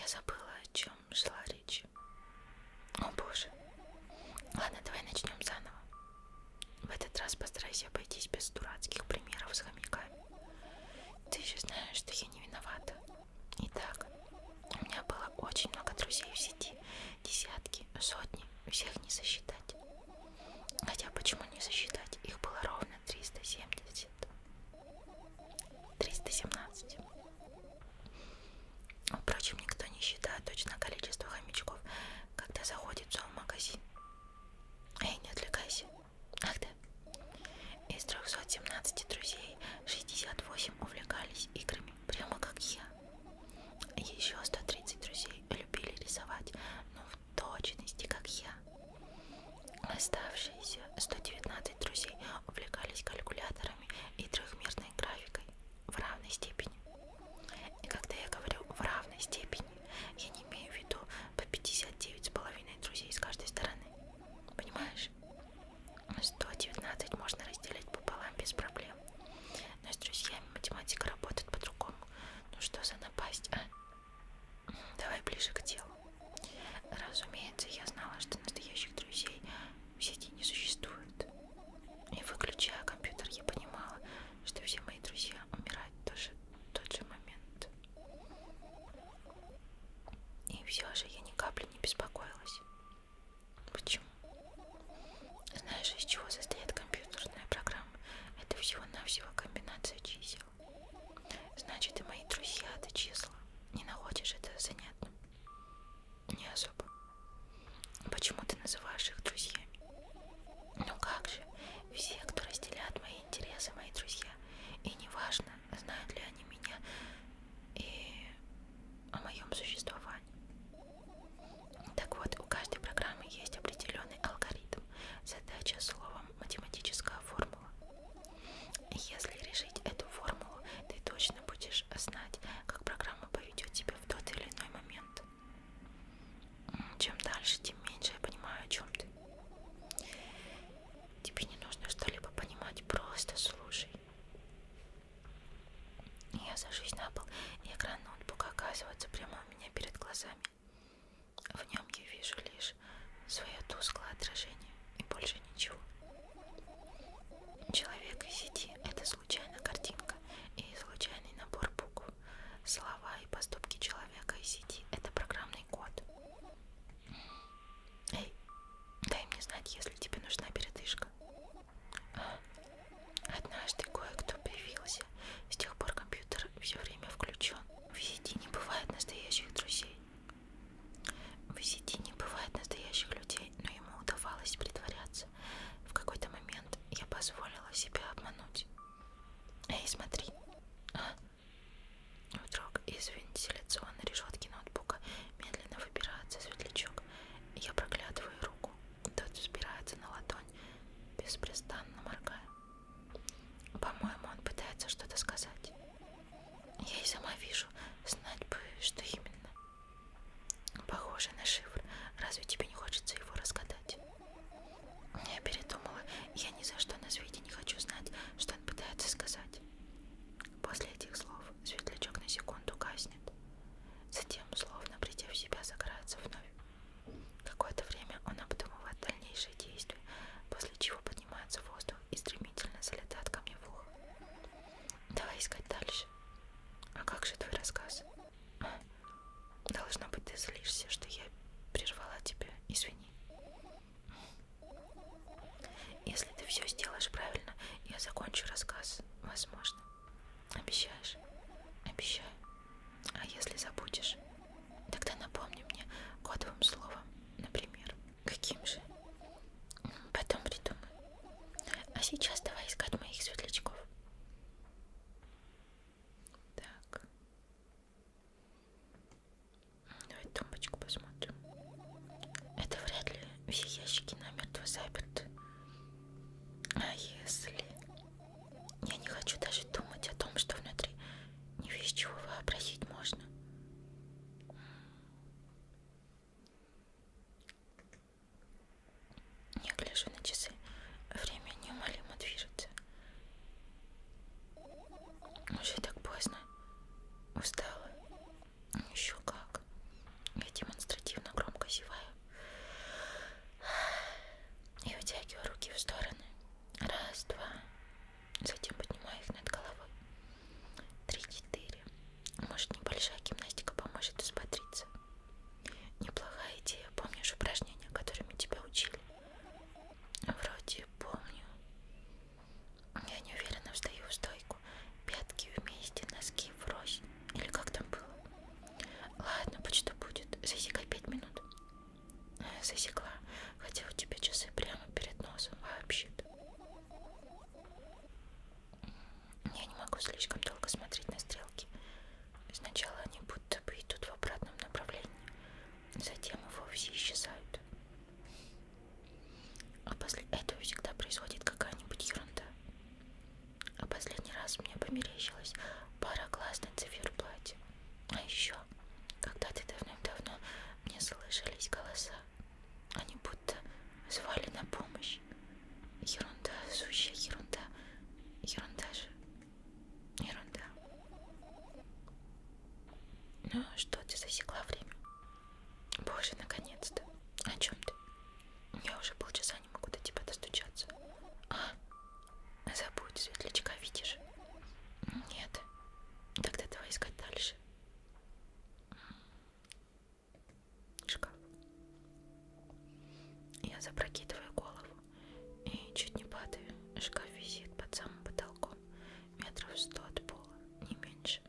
Я забыла, о чем шла речь. О боже. Ладно, давай начнем заново. В этот раз постарайся обойтись без дурацких примеров с хомяками. Ты же знаешь, что я не виновата. Итак, у меня было очень много друзей в сети. Десятки, сотни, всех не сосчитать. Хотя почему не сосчитать? Их было ровно 370. 317. Впрочем, никто не считает точно количество хомячков, когда заходит в зоомагазин. Эй, не отвлекайся. Ах да. Из 317 друзей 68 увлекались играми, прямо как я. Еще 130 друзей любили рисовать, но в точности, как я. Оставшиеся 119 друзей увлекались калькуляторами и трехмерной графикой в равной степени. И когда я говорю в равной степени, я не имею в виду по 59,5 друзей с каждой стороны. Понимаешь? 119 можно разделить пополам без проблем. Но с друзьями математика работает по-другому. Ну что за напасть, а? Давай ближе к делу. Разумеется, я знала, что настоящих друзей в сети не существует. И выключая компьютер, я понимала, что все мои друзья умирают тоже в тот же момент. И все же я ни капли не беспокоилась. Почему? Знаешь, из чего состоит компьютерная программа? Это всего-навсего комбинация чисел. Значит, и мои друзья это числа. Не находишь это занятным? Не особо. Почему ты называешь их друзьями? Ну как же, все, кто разделяет мои интересы, мои друзья. И неважно, знают ли они меня и о моем существовании. Так вот, у каждой программы есть определенный алгоритм. Задача словом математическая формула. Если решить эту формулу, ты точно будешь знать, как программа поведет тебя в тот или иной момент. Чем дальше, тем меньше я понимаю, о чем ты. Тебе не нужно что-либо понимать, просто слушай. Я сажусь на пол, и экран ноутбука оказывается прямо у меня перед глазами. В нем я вижу лишь свое тусклое отражение и больше ничего. Человек из сети — это случайная картинка и случайный набор букв, слова и поступки человека из сети – это программный код. Эй, дай мне знать, если тебе нужна передышка. Однажды кое-кто появился. С тех пор компьютер все время включен. В сети не бывает настоящих друзей. В сети не бывает настоящих людей, но ему удавалось притворяться сердце. В какой-то момент я позволила себя обмануть. Эй, смотри. А? Вдруг из вентиляционной решетки ноутбука медленно выбирается светлячок. Я проглядываю руку. Тот взбирается на ладонь, беспрестанно моргая. По-моему, он пытается что-то сказать. Я и сама вижу, знать бы, что именно. Похоже на шифр. Разве тебе не хочется его разгадать? Я передумала. Я ни за что на свете не хочу знать, что он пытается сказать. После этих слов светлячок на секунду гаснет. Затем, словно придя в себя, загорается вновь. Какое-то время он обдумывает дальнейшие действия, после чего поднимается в воздух и стремительно залетает ко мне в ухо. Давай искать дальше. А как же твой рассказ? Должно быть, ты злишься, что я прервала тебя. Извини. Если ты все сделаешь правильно, я закончу рассказ. Возможно. Обещаешь? Обещаю. А если забудешь, тогда напомни мне кодовым словом, например. Каким же? Потом придумай. А сейчас давай искать моих светлячков. Так. Давай тумбочку посмотрим. Это вряд ли все ящики намертво заперты. А если... Я не хочу даже думать о том, что внутри не весь чего вообразить можно. Я гляжу на часы. Время неумолимо движется. Уже так поздно. Устала. Еще как. Я демонстративно громко зеваю. И вытягиваю руки в стороны. Раз, два. Затем поднимаю их над головой. Три, четыре. Может, небольшая гимнастика поможет усмотреться. Неплохая идея. Помнишь упражнения, которыми тебя учили? Вроде помню. Я не уверена, встаю в стойку. Пятки вместе, носки врозь. Или как там было? Ладно, будь что будет. Засекай пять минут. Засекла. Хотя у тебя часы прямо перед носом вообще-то. Я не могу слишком долго смотреть на стрелки. Сначала они будто бы идут в обратном направлении, затем и вовсе исчезают. А после этого всегда происходит какая-нибудь ерунда. А последний раз мне померещилась пара глаз на циферблате. А еще, когда-то давным-давно мне слышались голоса. Они будто звали на помощь. Ерунда, сущая ерунда. Ерунда же. Ерунда. Ну что, ты засекла время? Боже, наконец-то. О чем ты? Я уже полчаса не могу до тебя достучаться. А? Забудь, светлячка, видишь? Нет. Тогда давай искать дальше. Шкаф. Я запрокидываю голову и чуть не падаю. Шкаф висит под самым потолком, метров сто от пола, не меньше.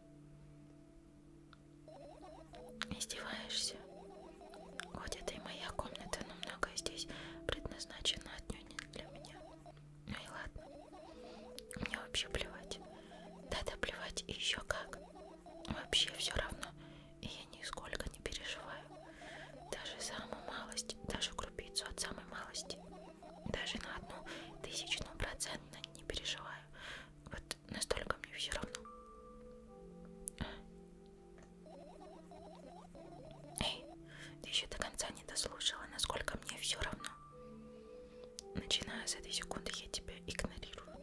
Издеваешься? Вот это и моя комната, но многое здесь предназначено отнюдь не для меня. Ну и ладно. Мне вообще плевать. Да-да, плевать, и еще как. Вообще все равно и я нисколько не переживаю. Даже самую малость, даже крупицу от самой малости, даже на одну тысячную процентно не переживаю. Вот настолько мне все равно. Эй, ты еще до конца не дослушала, насколько мне все равно. Начиная с этой секунды я тебя игнорирую.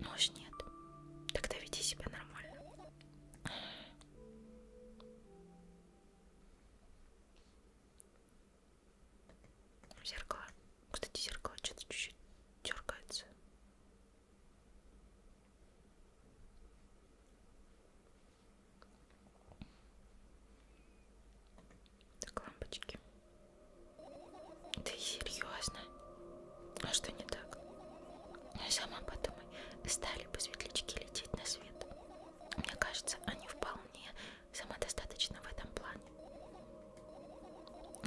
Ну уж нет. Тогда веди себя нормально. Зеркало. Кстати, зеркало что-то чуть-чуть дергается. Так, лампочки. Ты серьезно? А что не так? Сама подумай, стали бы светлячки лететь на свет. Мне кажется, они вполне самодостаточны в этом плане.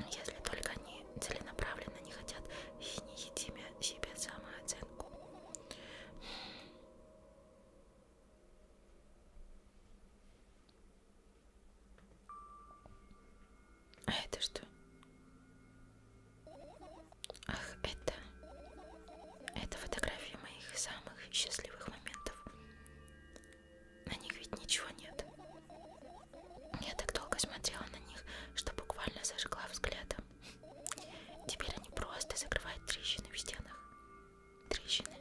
Если только они целенаправленно не хотят и не едимя себе самооценку. А это что? Ах, это... Это фотографии моих самых счастливых моментов. На них ведь ничего нет. Я так долго смотрела на них, что буквально зажгла взглядом. Теперь они просто закрывают трещины в стенах. Трещины?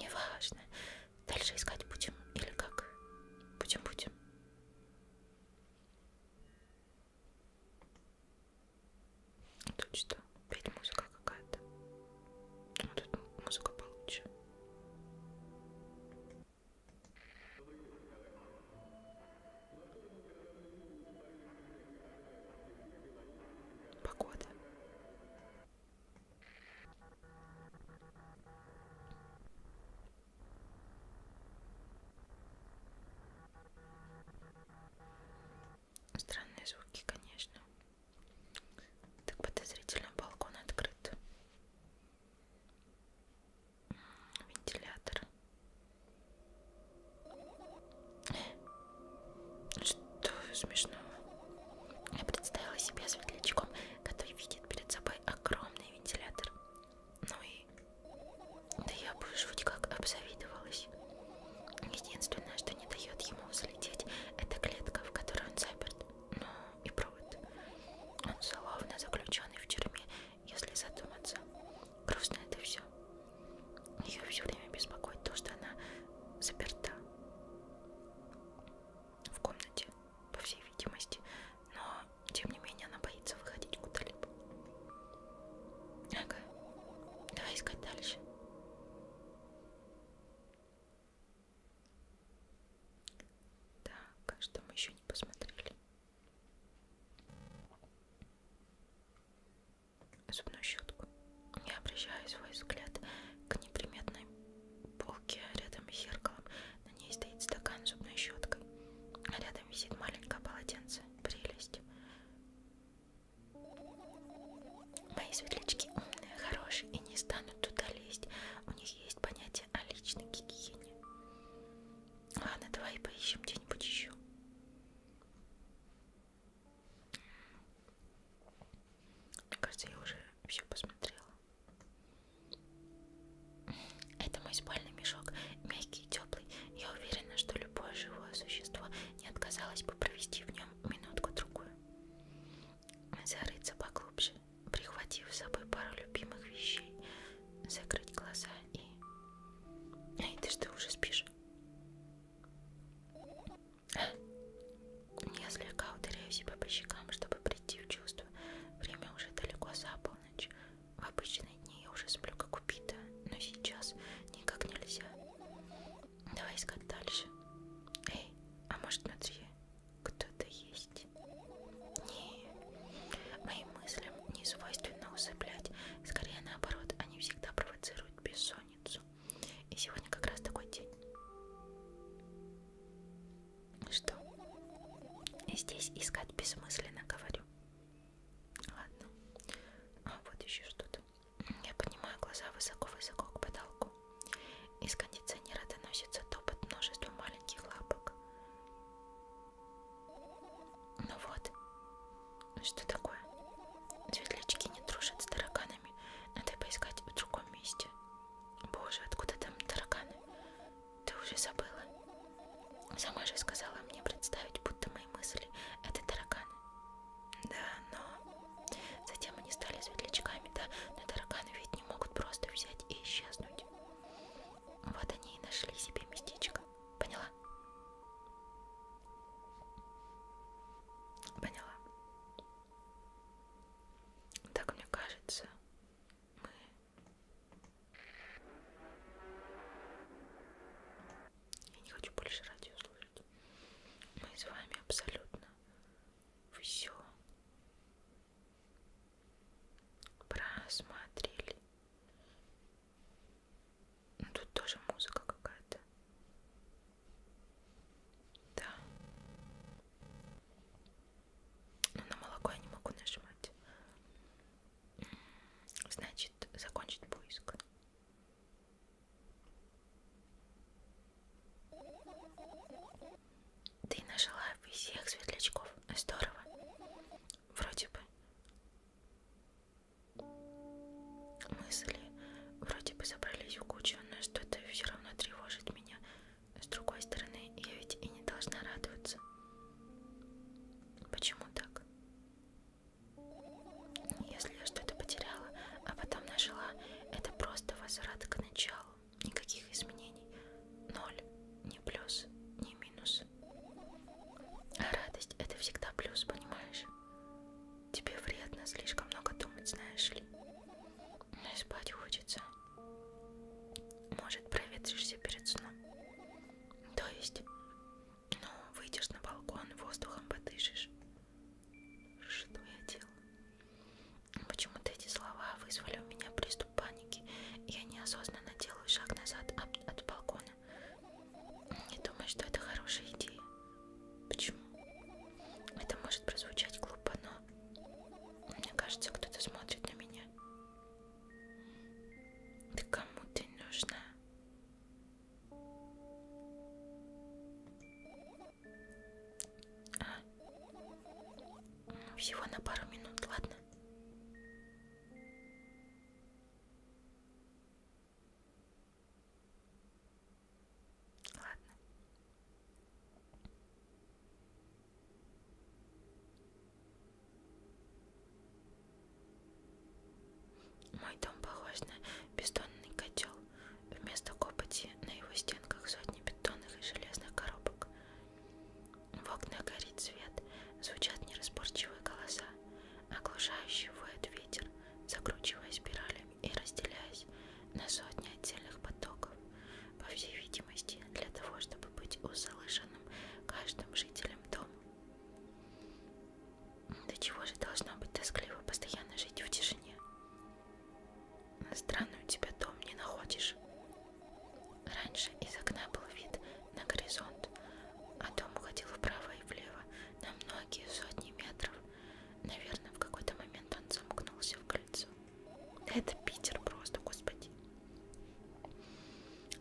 Неважно. Дальше искать будем или как? Будем-будем. Тут что? Опять музыка какая-то. А тут музыка получше. Погода. Странные звуки, конечно. Так подозрительно балкон открыт. Вентилятор. Что смешного? Я представила себя светлячком, который видит перед собой огромный вентилятор. Ну и... Да я бы жуть как обзавидовалась. Единственное, что не дает ему взлететь, это клетка, в которой он заперт. Ну и провод. Он словно заключенный в тюрьме, если задуматься. Грустно это все. Ее все время беспокоит то, что она заперта в комнате, по всей видимости, но тем не менее она боится выходить куда-либо. Ага, давай искать дальше. Так, а что мы еще не посмотрели? Зубную щетку. Я обращаю свой взгляд к неприметной полке рядом с зеркалом. На ней стоит стакан с зубной щеткой. Рядом висит маленькое полотенце. Прелесть. Мои светлячки умные, хорошие и не станут туда лезть. У них есть понятие о личной гигиене. Ладно, давай поищем где-нибудь еще. Мне кажется, я уже все посмотрела. Это мой спальный мешок, мягкий и теплый. Я уверена, что любое живое существо не отказалось бы провести в нем минутку-другую. Зарыться поглубже, прихватив с собой пару любимых вещей, закрыть глаза и... Эй, ты что, уже спишь? Я слегка ударяю себя по щекам, чтобы прийти в чувство. Время уже далеко за полночь. В обычные дни я уже сплю как убитая, но сейчас никак нельзя. Давай искать дальше. Эй, а может внутри кто-то есть? Не, моим мыслям не свойственно усыплять. Скорее наоборот, они всегда провоцируют бессонницу. И сегодня как раз такой день. Что? Здесь искать бессмысленно, говорю. Ладно. А вот еще что-то. Я поднимаю глаза высоко-высоко к потолку. Из кондиционера доносится топот множества маленьких лапок. Ну вот. Что такое? Светлячки не дружат с тараканами. Надо поискать в другом месте. Боже, откуда там тараканы? Ты уже забыла? Сама же сказала мне представить, будто мои мысли — это тараканы. Да, но... Затем они стали светлячками, да, но тараканы ведь не могут просто взять и исчезнуть. Вот они и нашли себе местечко. Поняла? Поняла. Так мне кажется, мы я не хочу больше радио слушать. Мы с вами абсолютно все просмотрели. Ну, тут тоже музыка какая-то. Да. Но ну, на молоко я не могу нажимать. Значит, закончить поиск. Ты нашла всех светлячков. Здорово. Вроде бы. Мысли вроде бы собрались в кучу, но что-то все равно тревожит меня. С другой стороны, я ведь и не должна радоваться. Почему так? Если я что-то потеряла, а потом нажила, это просто возврат к началу. Никаких изменений. Ноль. Ни плюс, ни минус. А радость — это всегда плюс, понимаешь? Тебе вредно слишком много думать, знаешь ли. Но и спать хочется. Может, проветришься перед сном. То есть ну, выйдешь на балкон, воздухом подышишь. Что я делаю? Почему-то эти слова вызвали у меня приступ паники. Я неосознанно делаю шаг назад от, от балкона. Не думаю, что это хорошая идея. Почему? Это может прозвучать глупо, но мне кажется, кто-то смотрит на меня. Да кому ты нужна? Всего на пару минут, ладно? Ладно. Мой дом похож на бетонный котел. Вместо копоти на его стенках сотни бетонных и железных коробок. В окна горит свет, звучат нераспорчивые голоса, оглушающий воет ветер, закручивая спиралями и разделяясь на сотни отдельных потоков. По всей видимости, для того, чтобы быть услышанным каждым жителем дома. До чего же должно быть тоскливо постоянно жить в тишине? Странно у тебя дом не находишь. Раньше из окна был вид на горизонт, а дом уходил вправо и влево на многие сотни метров. Наверное, в какой-то момент он замкнулся в кольцо. Да это Питер просто, господи.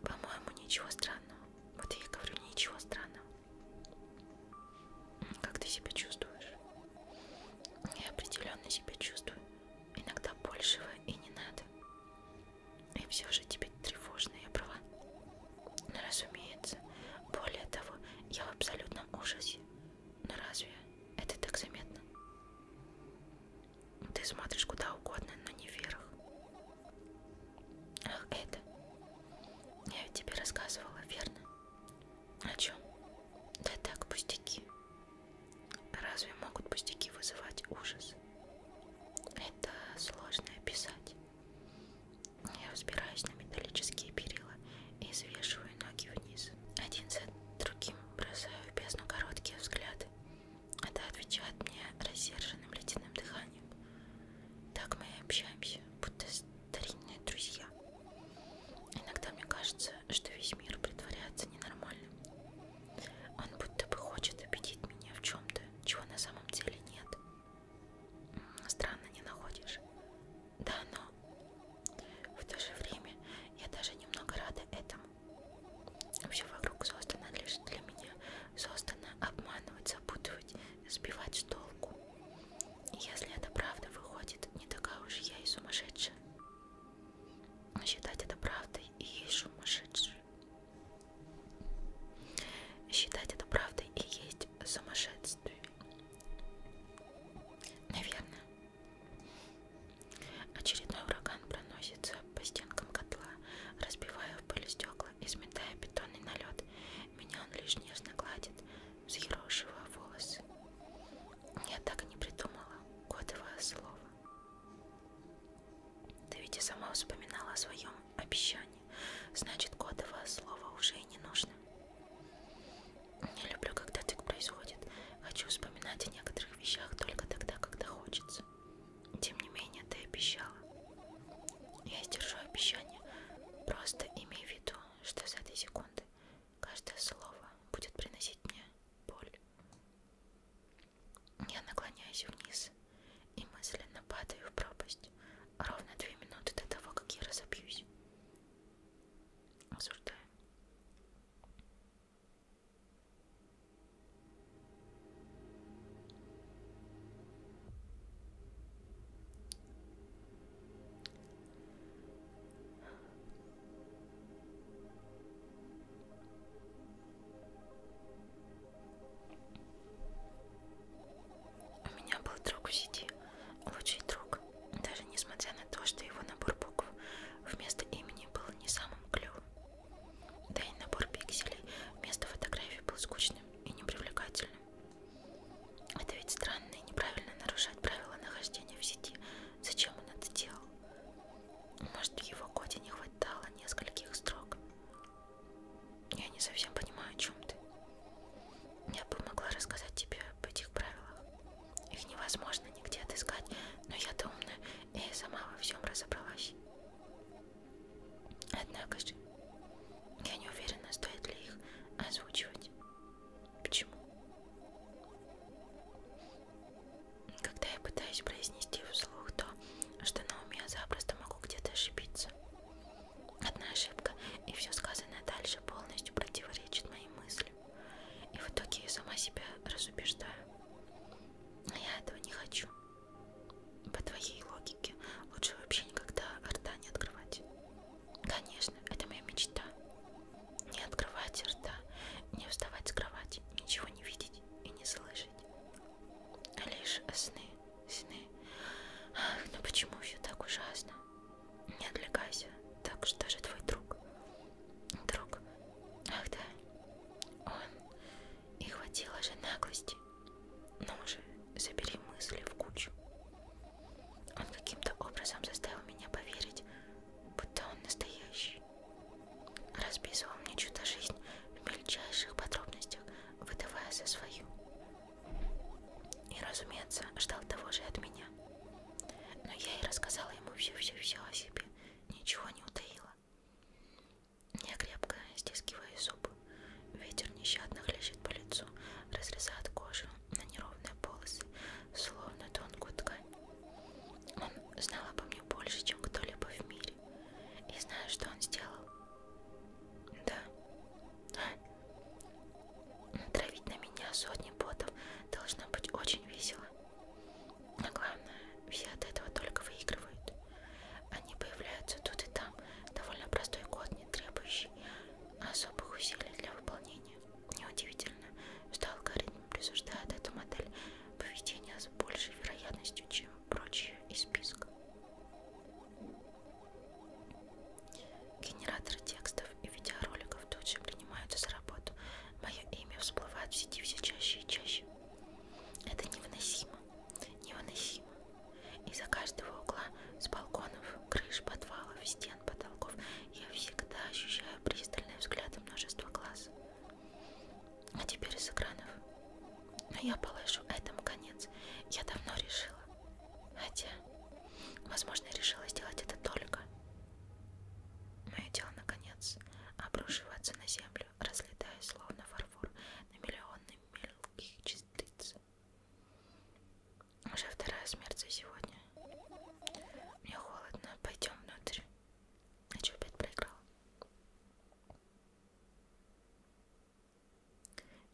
По-моему, ничего странного. Вот я и говорю, ничего странного. Как ты себя чувствуешь? Я определенно себя чувствую. Иногда большего и не надо. И все же тебе тревожно, я права. Но ну, разумеется. Более того, я в абсолютном ужасе. Но ну, разве это так заметно? Ты смотришь куда угодно, но не вверх. Ах, это. Я ведь тебе рассказывала, верно? О чем? Да так, пустяки. Разве могут пустяки вызывать ужас? Это сложно описать. Я взбираюсь на металлические перила и свешиваю ноги вниз. Один за другим бросаю в бездну короткие взгляды. Это отвечает мне рассерженным ледяным дыханием. Таня. Так мы и общаемся, будто старинные друзья. Иногда мне кажется, что весь мир притворяется ненормальным. Он будто бы хочет убедить меня в чем-то, чего на самом деле нет. Странно, не находишь? Да, но в то же время я даже немного рада этому. Все вокруг создано лишь для меня, создана обманывать, запутывать, сбивать с толку. И если это правда выходит, не такая уж я и сумасшедшая. Считать это правдой и есть сумасшедший. Считать это правдой и есть сумасшествие. Наверное. Очередной ураган проносится по стенкам котла, разбивая в пыль стекла кукла, изметая бетонный налет. Меня он лишь нежно гладит, взъерошивая волосы. Я так и не придумала, кодовое слово. Ты ведь и сама вспоминала о своем обещании. Значит, кодовое слово уже и не нужно. Не люблю, когда так происходит. Хочу вспоминать о некоторых вещах только тогда, когда хочется. Тем не менее, ты обещала. Я сдержу обещание. Просто имей в виду, что за эти секунды каждое слово будет приносить мне боль. Я наклоняюсь вниз и мысленно падаю в пропасть ровно две минуты до того, как я разобьюсь. Осуждаю. У меня был друг в сети, лучший друг, даже несмотря на то, что его набор букв вместо имени был не самым клевым. Да и набор пикселей вместо фотографий был скучным и непривлекательным. Это ведь странно и неправильно нарушать правила нахождения в сети. Зачем он это делал? Может, в его коде не хватало нескольких строк? Я не совсем понимаю, о чем ты. Я бы могла рассказать тебе об этих правилах. Их невозможно нигде отыскать, но я-то умная и сама во всем разобралась. Однако же, я не уверена, стоит ли их озвучивать. Почему? Когда я пытаюсь произнести вслух то, что на уме я запросто могу где-то ошибиться. Одна ошибка, и все сказанное дальше полностью противоречит моим мыслям. И в итоге я сама себя разубеждаю. Я этого не хочу. По твоей логике лучше вообще никогда рта не открывать. Конечно, это моя мечта. Не открывать рта, не вставать с кровати, ничего не видеть и не слышать. Лишь сны, сны. Ах, ну почему все так ужасно? Не отвлекайся, так что же твой друг? Друг? Ах да, он и хватило же наглости. Ну же, забери мысли в кучу. Он каким-то образом заставил меня поверить, будто он настоящий. Расписывал мне чудо-жизнь в мельчайших подробностях, выдавая за свою. И, разумеется, ждал того же от меня. Но я и рассказала ему все-все-все о себе, ничего не утаила. Я крепко стискиваю зубы. Ветер нещадно хлещет по лицу, разрезает кожу на неровные полосы, словно тонкую ткань. Он знал обо мне больше, чем кто-либо в мире. И знаю, что он сделал. Да. Травить на меня сотни ботов должно быть очень весело. Но главное, все от этого только выигрывают. Они появляются тут и там. Довольно простой код, не требующий особых усилий для выполнения. Неудивительно, что алгоритм присуждает эту модель поведения с большей вероятностью, чем прочие из списка. Генераторы текстов и видеороликов тут же принимаются за работу. Мое имя всплывает в сети все чаще и чаще. Это невыносимо невыносимо. Из-за каждого угла, с балконов, крыш, подвалов, стен, потолков, я всегда ощущаю пристальные взгляды множества глаз. А теперь из экранов. Но я положу этому конец. Я давно решила. Хотя, возможно, решила сделать это только. Мое дело, наконец, обрушиваться на землю, разлетаясь словно фарфор на миллионы мелких частиц. Уже вторая смерть за сегодня. Мне холодно. Пойдем внутрь. А че опять проиграл?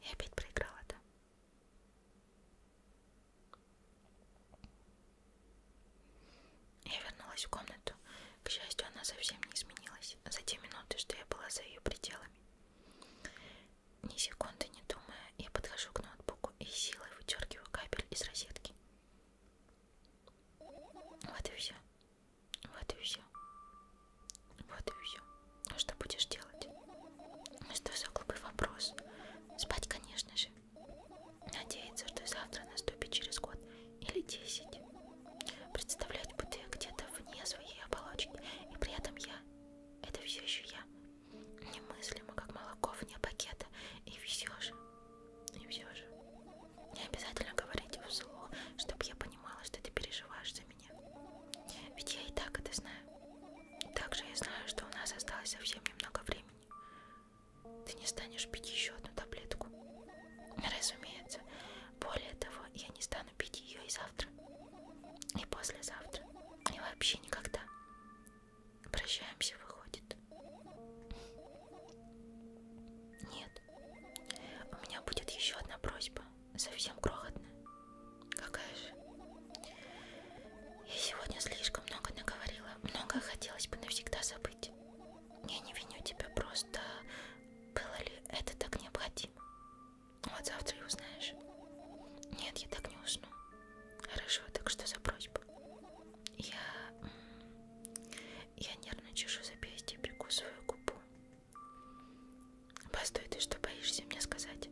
Я опять проиграла, да? Я вернулась в комнату. К счастью, она совсем не изменилась за те минуты, что я была за ее пределами. Ни секунды не думая, я подхожу к ноутбуку и силой выдергиваю кабель из розетки. Вот и все. Вот и все. Вот и все. А ну, что будешь делать? Ну что за глупый вопрос? Спать, конечно же. Надеяться, что завтра наступит через год или десять. Представлять, будто я где-то вне своей оболочки, и при этом я это все еще я. Немыслимо, как молоко вне пакета. И все же. И все же. Не обязательно говорить вслух, чтобы я понимала, что ты переживаешь за меня. Ведь я и так это знаю. Также я знаю, что у нас осталось совсем немного времени. Ты не станешь пить еще одну таблетку. Разумеется. Более того, я не стану перестану пить ее и завтра, и послезавтра, и вообще никогда. Прощаемся, выходит. Нет, у меня будет еще одна просьба, совсем крохотная. Какая же? Я сегодня слишком много наговорила, многое хотелось бы навсегда забыть. Я не виню тебя, просто было ли это так необходимо? Вот завтра и узнаешь. Нет, я так не усну. Хорошо, так что за просьба? Я... Я нервно чешу запястье и прикусываю губу. Постой, ты что, боишься мне сказать?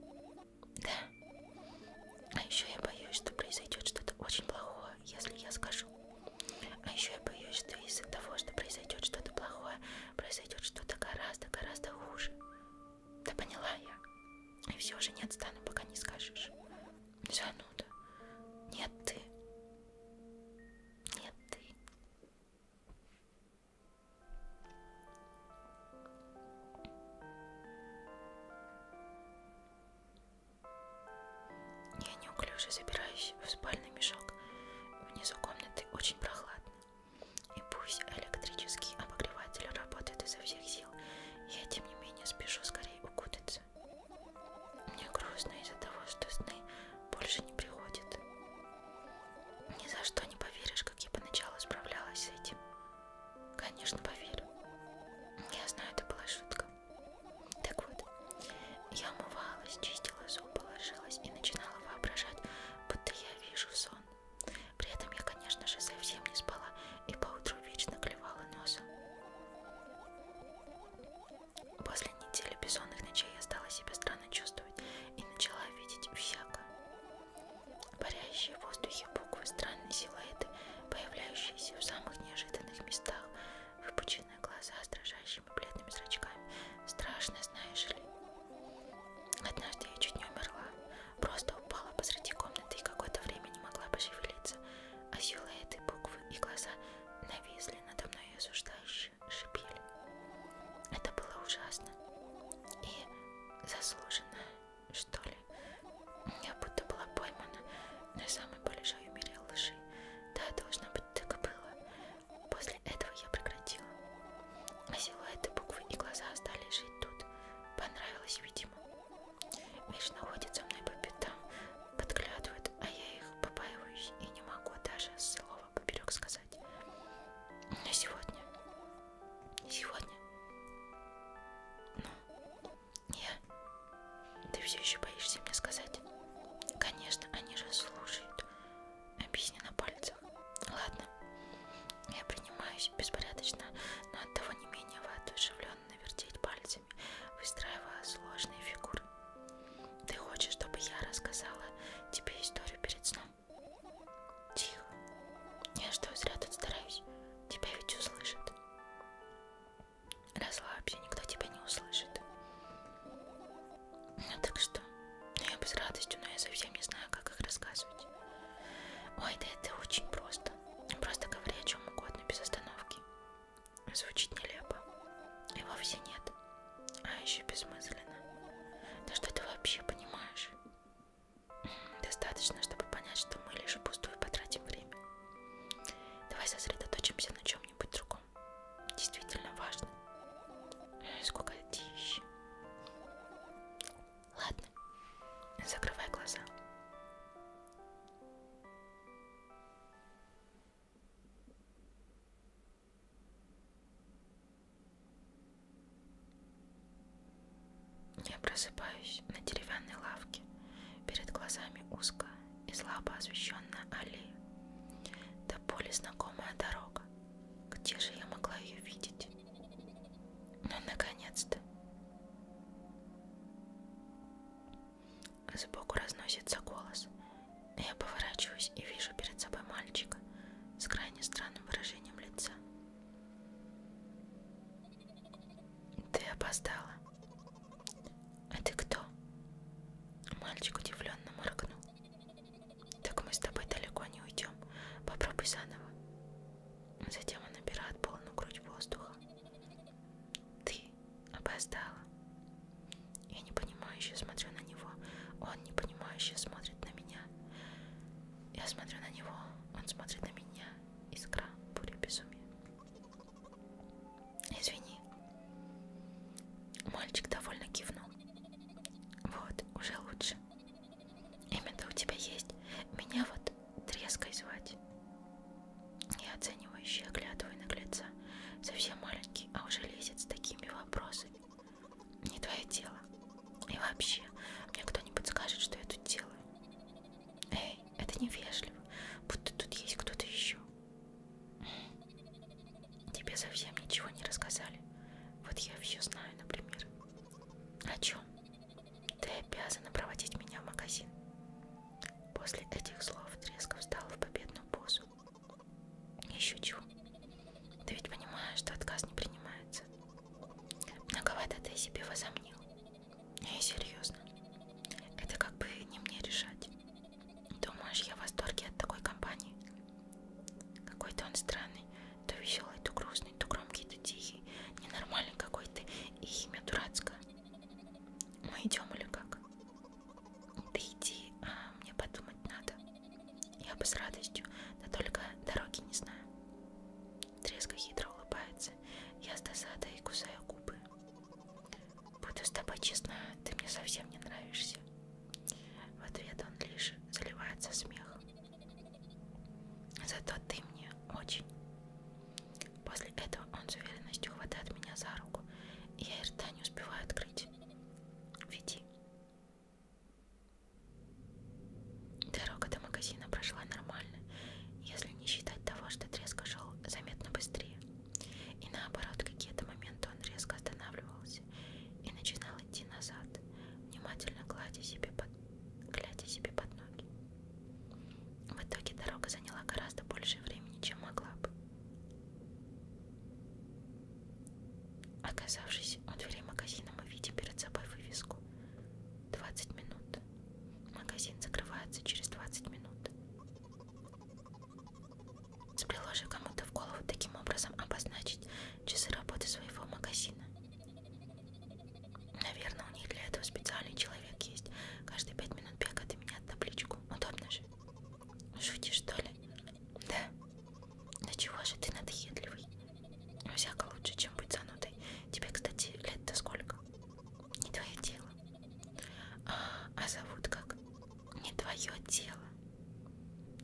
Да. А еще я боюсь, что произойдет что-то очень плохое, если я скажу. А еще я боюсь, что из-за того, что произойдет что-то плохое, произойдет что-то гораздо, гораздо хуже. Да поняла я. И все же не отстану, пока не скажешь. Зануда. Нет, ты. Нет, ты. Я неуклюже забираюсь в спальный мешок. Внизу комнаты очень прохладно. И пусть электрический обогреватель работает изо всех сил, я тем не менее спешу скорее укутаться. Мне грустно из-за того, что сны больше не приходят. Ни за что не поверишь, как я поначалу справлялась с этим. Конечно, поверю. Я знаю, это была шутка. Так вот, я умывалась, чистила зубы, ложилась и начинала воображать, будто я вижу сон. При этом я, конечно же, совсем не спала и поутру вечно клевала носом. После недели бессонных ночей я стала себя странно чувствовать и начала видеть всякое. Парящие в воздухе буквы, странные силуэты, появляющиеся в самых неожиданных местах, выпученные глаза с дрожащими бледными зрачками, страшно, знаешь ли. Однажды я чуть не умерла. Просто упала посреди комнаты и какое-то время не могла пошевелиться. А силуэты, буквы и глаза нависли надо мной и осуждающе шипели. Это было ужасно. И заслуженно, что ли. Я будто была поймана на самой большой мере лжи. Да, должно быть, так и было. После После этого я прекратила. А силуэты, буквы и глаза остались жить тут. Понравилось, видимо. Миш находит за мной по пятам, подглядывает, а я их побаиваюсь и не могу даже слова поперек сказать. Но сегодня... Сегодня... Ну, я... Ты все еще боишься мне сказать? Конечно, они же слушают объясни на пальцах. Ладно, я принимаюсь беспорядочно, но от того не менее воодушевленно вертеть пальцами, выстраивая сложные фигуры. Ты хочешь, чтобы я рассказала тебе историю перед сном? Тихо. Я что, зря тут стараюсь? Тебя ведь услышат. Расслабься, никто тебя не услышит. Ну так что? что. Ну, я бы с радостью, но я совсем не знаю, как их рассказывать. Ой, да это очень просто. Просто говори о чем угодно, без остановки. Звучит нелепо. И вовсе нет. А еще бессмысленно. Да что ты вообще понимаешь? Хм, достаточно, чтобы понять, что мы лишь пустую потратим время. Давай сосредоточимся на чем-нибудь другом. Действительно важно. Э, сколько дичь. Ладно, закрывай глаза. Я просыпаюсь на деревянной лавке. Перед глазами узкая и слабо освещенная аллея. До боли знакомая дорога. Где же я могла ее видеть? Ну, наконец-то. Сбоку разносится голос. Я поворачиваюсь и вижу перед собой мальчика с крайне странным выражением лица. Ты опоздала. А ты кто? Мальчик удивленно моргнул. Так мы с тобой далеко не уйдем. Попробуй заново. Затем он набирает полную грудь воздуха. Ты опоздала. Я непонимающе смотрю на него. Он непонимающе смотрит на меня. Я смотрю на него. Он смотрит на меня. Искра, буря, безумие. Извини. Мальчик довольно кивнул. Вот, уже лучше. Имя-то у тебя есть. Меня вот треской звать. Я оценивающе оглядываю наглеца. Совсем маленький, а уже лезет с такими вопросами. Не твое дело. И вообще, мне кто-нибудь скажет, что я тут делаю. Эй, это невежливо, будто тут есть кто-то еще. Тебе совсем ничего не рассказали. Вот я все знаю, например. О чем? Ты обязана проводить меня в магазин. После этих слов Треска встала в победную позу. Не шучу. Ты ведь понимаешь, что отказ не принимается. Многовато ты себе возомнил. И серьезно. Это как бы не мне решать. Думаешь, я в восторге от такой компании? Какой-то он странный. То веселый, то грустный, то громкий, то тихий. Ненормальный какой ты. И имя дурацкое. Мы идем или как? Ты иди, а мне подумать надо. Я бы с радостью, да только дороги не знаю. Треска хитро улыбается. Я с досадой и кусаю губы. Буду с тобой честна, ты мне совсем не нравишься. В ответ он лишь заливается смехом. Зато ты мне очень. После этого он с уверенностью хватает меня за руку, и я и рта не успеваю открыть. Веди. Дорога до магазина прошла нормально, если не считать того, что треск шел заметно быстрее. И наоборот, какие-то моменты он резко останавливался и начинал идти назад, внимательно гладя себе под глядя себе под ноги. В итоге дорога заняла гораздо больше времени, чем могла бы. Оказавшись у дверей магазина, мы видим перед собой вывеску. 20 минут. Магазин закрывается через 20 минут. Сплеложив кому-то в голову таким образом обозначить часы работы своего магазина Наверное, у них для этого специальный человек есть. Каждые пять минут бегает и меняет табличку. Удобно же. Шутишь, что ли? Да. Да чего же ты надоедливый? Ну, всяко лучше, чем быть занудой. Тебе, кстати, лет-то сколько? Не твое дело. А, а зовут как? Не твое дело.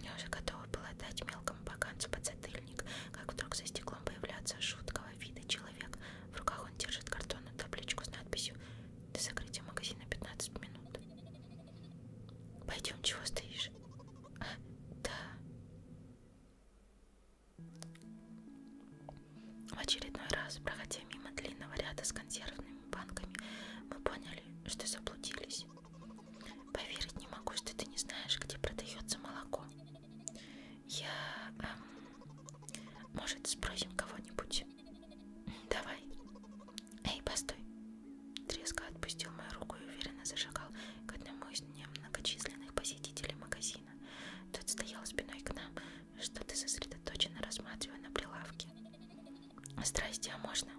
Я уже готова была дать мелкому поганцу подзатыльник охранник, как вдруг за стеклом появляется жуткого вида человек. В руках он держит картонную табличку с надписью «До закрытия магазина 15 минут». «Пойдем, чего стоишь?» а, «Да». В очередной раз, проходя мимо длинного ряда с консервными банками, мы поняли, что заблудились. Поверить не могу, что ты не знаешь, где продается молоко. Я... Эм, может, спросим кого-нибудь? Давай. Эй, постой. Треско отпустил мою руку и уверенно зашагал к одному из немногочисленных посетителей магазина. Тот стоял спиной к нам, что-то сосредоточенно рассматривая на прилавке. Здрасте, а можно?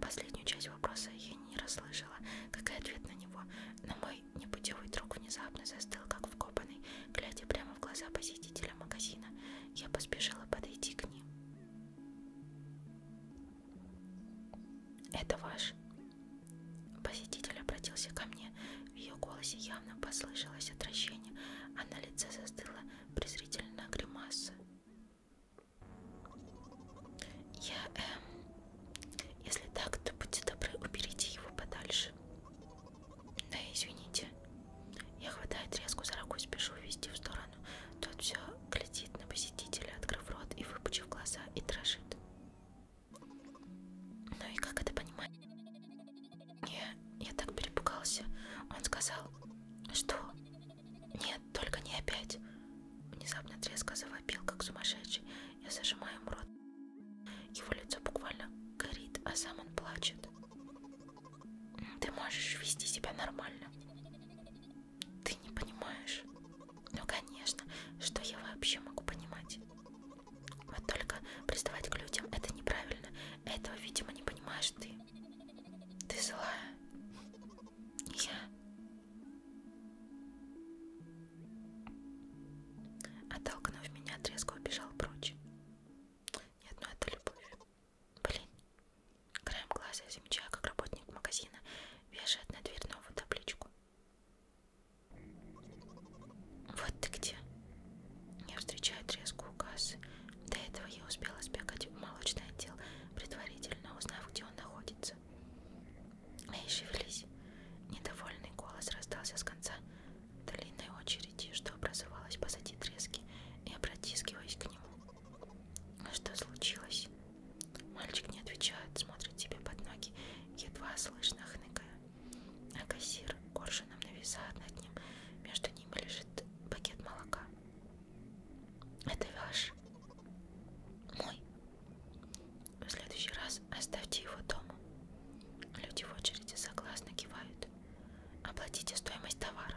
Последнюю часть вопроса я не расслышала, как и ответ на него, но мой мой непутевый друг внезапно застыл, как вкопанный, глядя прямо в глаза посетителя магазина. Я поспешила подойти к ним. «Это ваш?» Посетитель обратился ко мне. В ее голосе явно послышалось отвращение, а на лице застыла презрительная гримаса. «Я, эм, если так, то будьте добры, уберите его подальше. Да, извините. Я хватаю треску за руку, спешу вести в сторону. Тот все глядит на посетителя, открыв рот и выпучив глаза, и дрожит. Ну и как это понимать? Не, я так перепугался. Он сказал, что... Нет, только не опять. Внезапно треско завопил, как сумасшедший, я зажимаю ему рот. Его лицо буквально горит, а сам он плачет. Ты можешь вести себя нормально. Ты не понимаешь. Ну, конечно, что я вообще могу понимать? Вот только приставать к людям — это неправильно. Этого, видимо, не понимаешь ты. Ты злая. Я Оттолкнув меня, отрезко убежал прочь. Нет, ну это любовь. Блин. Краем глаза замечаю, как работник магазина вешает на дверь новую табличку. Вот ты где. Я встречаю треску у кассы. До этого я успела сбегать в молочный отдел, предварительно узнав, где он находится. Мы а ищевились. Недовольный голос раздался с конца длинной очереди, что образовалась позади трески, и протискиваясь к нему. Что случилось? Мальчик не отвечает, смотрит себе под ноги, едва слышно хныкая. А кассир коршуном нависает над ним. Между ними лежит пакет молока. Это ваш? Мой, в следующий раз оставьте его дома. Люди в очереди согласно кивают. Оплатите стоимость товара.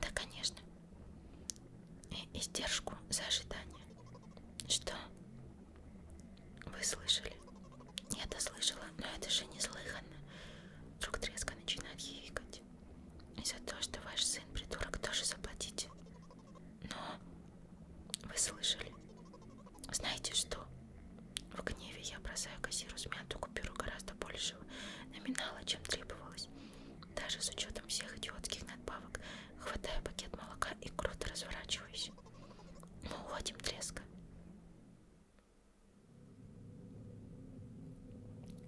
Да, конечно. И издержку за ожидание. Что? Вы слышали? Я-то слышала, но это же неслыханно. Вдруг треско начинает хихикать. И за то, что ваш сын придурок, тоже заплатите. Но вы слышали? Знаете что? В гневе я бросаю кассиру смятую купюру гораздо большего номинала, чем требовалось. Даже с учетом всех идиотских надбавок хватаю пакет молока и круто разворачиваюсь. Мы уходим треска.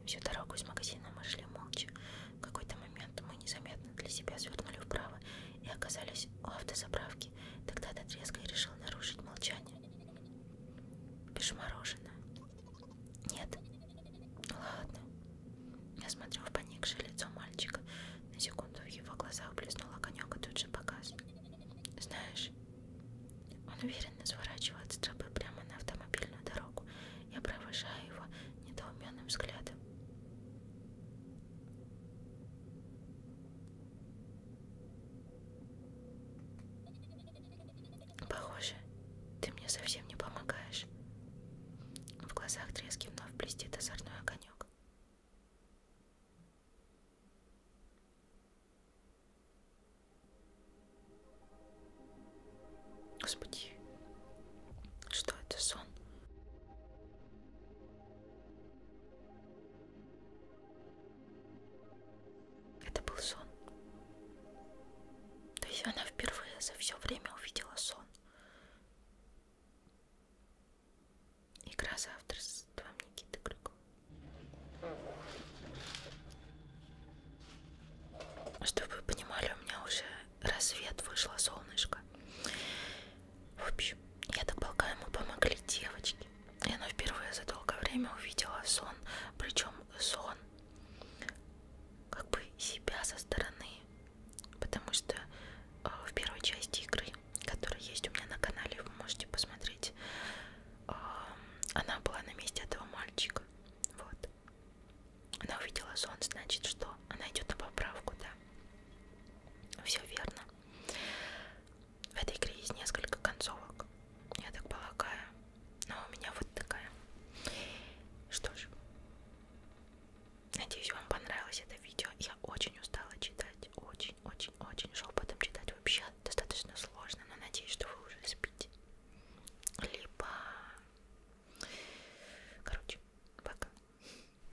Всю дорогу из магазина мы шли молча. В какой-то момент мы незаметно для себя свернули вправо и оказались у автозаправки. Тогда этот резко решил нарушить молчание. Пишу мороженое. Нет. Ладно. Я смотрю в поникшее лицо мальчика. На секунду в его глазах блеснул огонек и тут же погас. Знаешь, он уверенно сворачивает с тропы прямо на автомобильную дорогу. Я провожаю его недоуменным взглядом. Похоже, ты мне совсем не помогаешь. В глазах трески вновь блестит озорной огонек. Господи, что это сон? Это был сон. То есть она впервые за все время увидела сон. Игра с авторством Никиты Крюкова. Чтобы вы понимали, у меня уже рассвет вышло солнышко. В общем, я так полагаю, ему помогли девочки. И она впервые за долгое время увидела сон, причем сон как бы себя со стороны, потому что э, в первой части игры, которая есть у меня на канале, вы можете посмотреть, э, она была на месте этого мальчика. Вот. Она увидела сон, значит, что она идет на поправку, да. Все верно. В этой игре есть несколько концовок, я так полагаю. Но у меня вот такая. Что ж, надеюсь, вам понравилось это видео. Я очень устала читать, очень-очень-очень шепотом читать вообще достаточно сложно, но надеюсь, что вы уже спите. Либо... Короче, пока.